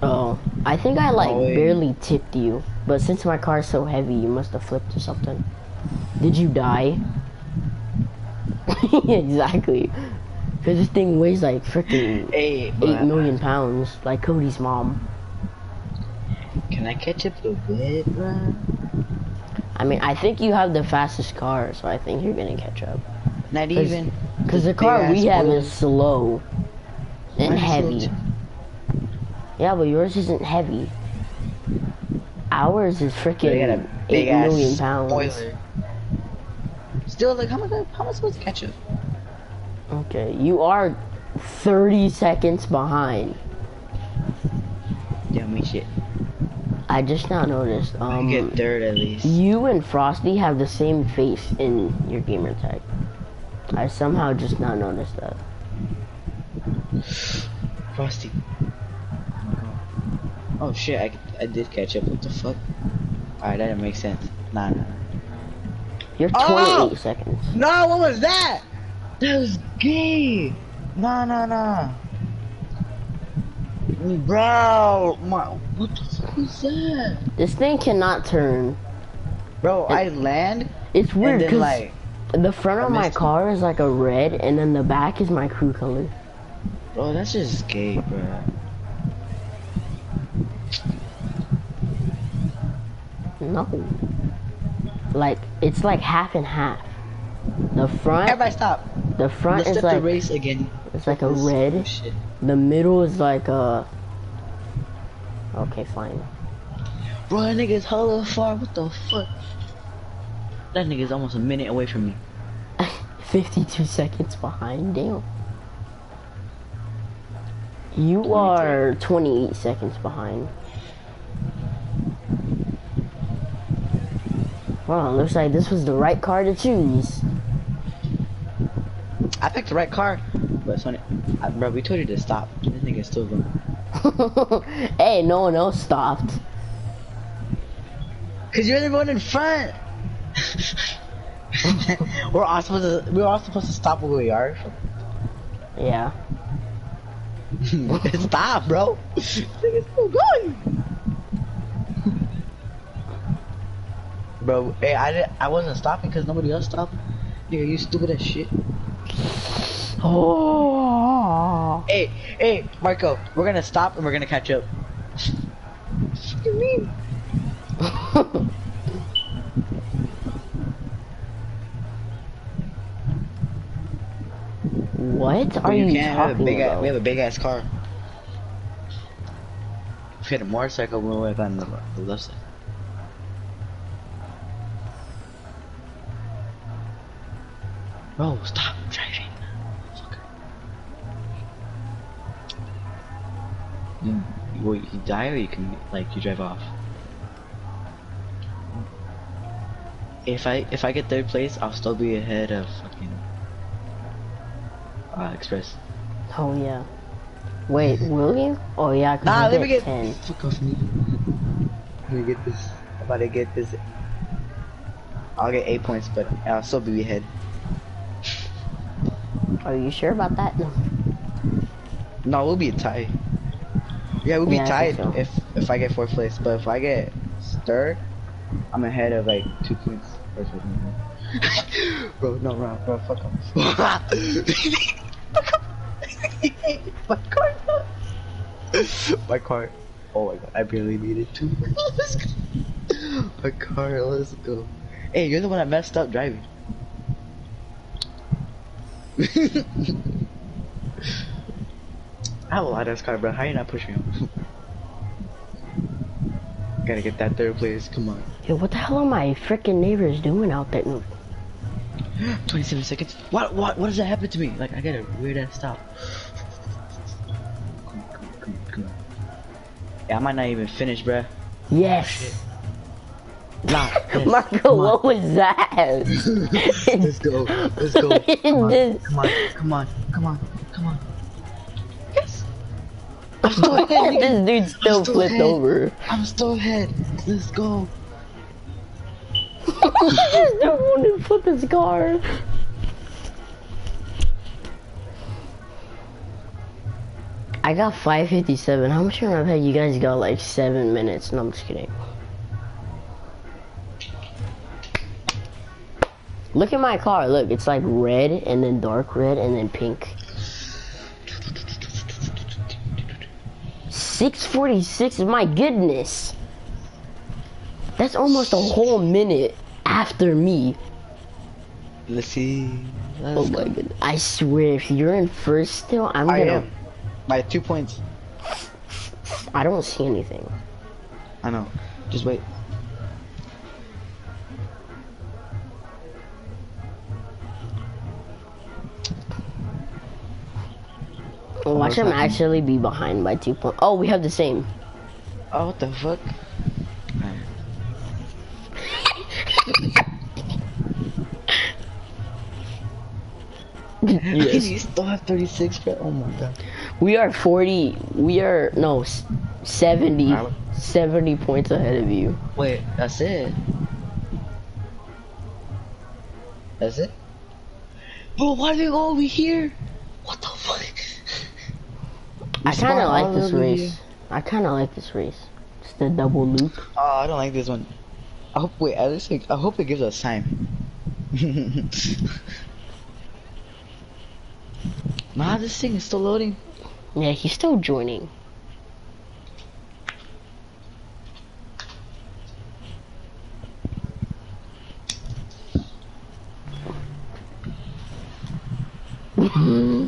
S1: Oh, I think I like barely tipped you, but since my car's so heavy, you must have flipped or something. Did you die? exactly. Cause this thing weighs like freaking eight million pounds, like Cody's mom.
S2: Can I catch up a bit, bro?
S1: I mean, I think you have the fastest car so I think you're gonna catch up. Not even. Because the car we have boys. is slow
S2: and heavy.
S1: yeah, but yours isn't heavy. Ours is freaking eight million pounds. Spoiler. Still, like, how am I, how am I supposed to catch up? Okay, you are 30 seconds behind. Damn me shit. I just now noticed. Um, you get third at least. You and Frosty have the same face in your gamer tag. I somehow just not noticed that. Frosty. Oh shit! I, I did catch up. What the fuck? Alright, that didn't make sense. Nah, nah. You're 28 seconds.
S2: No, what was
S1: that? That was gay. Nah, nah, nah. Bro, what the fuck is that? This thing cannot turn. Bro, I land. It's weird because like, the front of my car is like a red, and then the back is my crew color. Bro, that's just gay, bro. No. Like it's like half and half. The front. Everybody stop. The front Let's is the race again. It's like a red. The middle is like a. Okay, fine. Bro, that nigga's hella far. What the fuck? That nigga's almost a minute away from me. 52 seconds behind. Damn. You are 28 seconds behind. Wow, looks like this was the right car to choose. I picked the right car, but sonny, bro, we told you to stop. This nigga's still going. hey, no one else stopped. Cause you're the one in front. we're all supposed to. We're all supposed to stop where we are. Yeah. Stop, bro. This nigga's still going. Bro, hey, I didn't, I wasn't stopping because nobody else stopped. Nigga, you stupid as shit. Oh. Hey, hey, Marco, we're gonna stop and we're gonna catch up. what are you, talking about? we have a big ass car. If we had a motorcycle, we would have gone the, the left side.
S2: stop driving. You, you can die or you can, like, you drive off. If I, if I get third place, I'll still be ahead of fucking uh, Express.
S1: Oh yeah. Wait, will you? Oh yeah, nah, I let me get Fuck off me. Let me get this. I'm get this. I'll get eight points, but I'll still be ahead. Are you sure about that?
S2: No, we'll be tied. Yeah, we'll be tied if if I get fourth place. But if I get third, I'm ahead of like two points. bro, no, Rob, bro, fuck off.
S1: fuck off. my car. my car. Oh my god, I barely made it too. my car, let's go. Hey, you're the one that messed up driving. I
S2: have a lot of this car, bro. How you not pushing him? Gotta get that third place, come on.
S1: Yo, what the hell are my freaking neighbors doing out there? 27 seconds. What, what, what does that happen to me? Like, I got to weird ass stop. Come on, come on, come on, come on. Yeah, I might not even finish, bruh. Yes! Marco, what was that? let's go, let's go. Come on, come on, come on, come on. Yes! I'm still ahead. this dude still, flipped over. I'm still ahead. Let's go. this just won't even flip his car. I got 557. How much time I've had? You guys got like seven minutes. No, I'm just kidding. Look at my car. Look, it's like red and then dark red and then pink. 646, my goodness. That's almost a whole minute after me. Let's see. oh my go. I swear, if you're in first still, I'm I am going to Am. By two points. I don't see anything. I know. Just wait.
S2: Oh, Watch him actually
S1: be behind by two points. Oh, we have the same. Oh, what the fuck? yes. you still have 36, Oh my god. We are 40. We are, no, is 70, 70 points ahead of you. Wait, that's it? That's it? Bro, why do we go over here? What the fuck? I kind of like this race. I kind of like this race. It's the double loop. Oh, I don't like this one. I hope, wait, at least, I hope it gives us time. Nah, this
S2: thing is still loading.
S1: Yeah, he's still joining.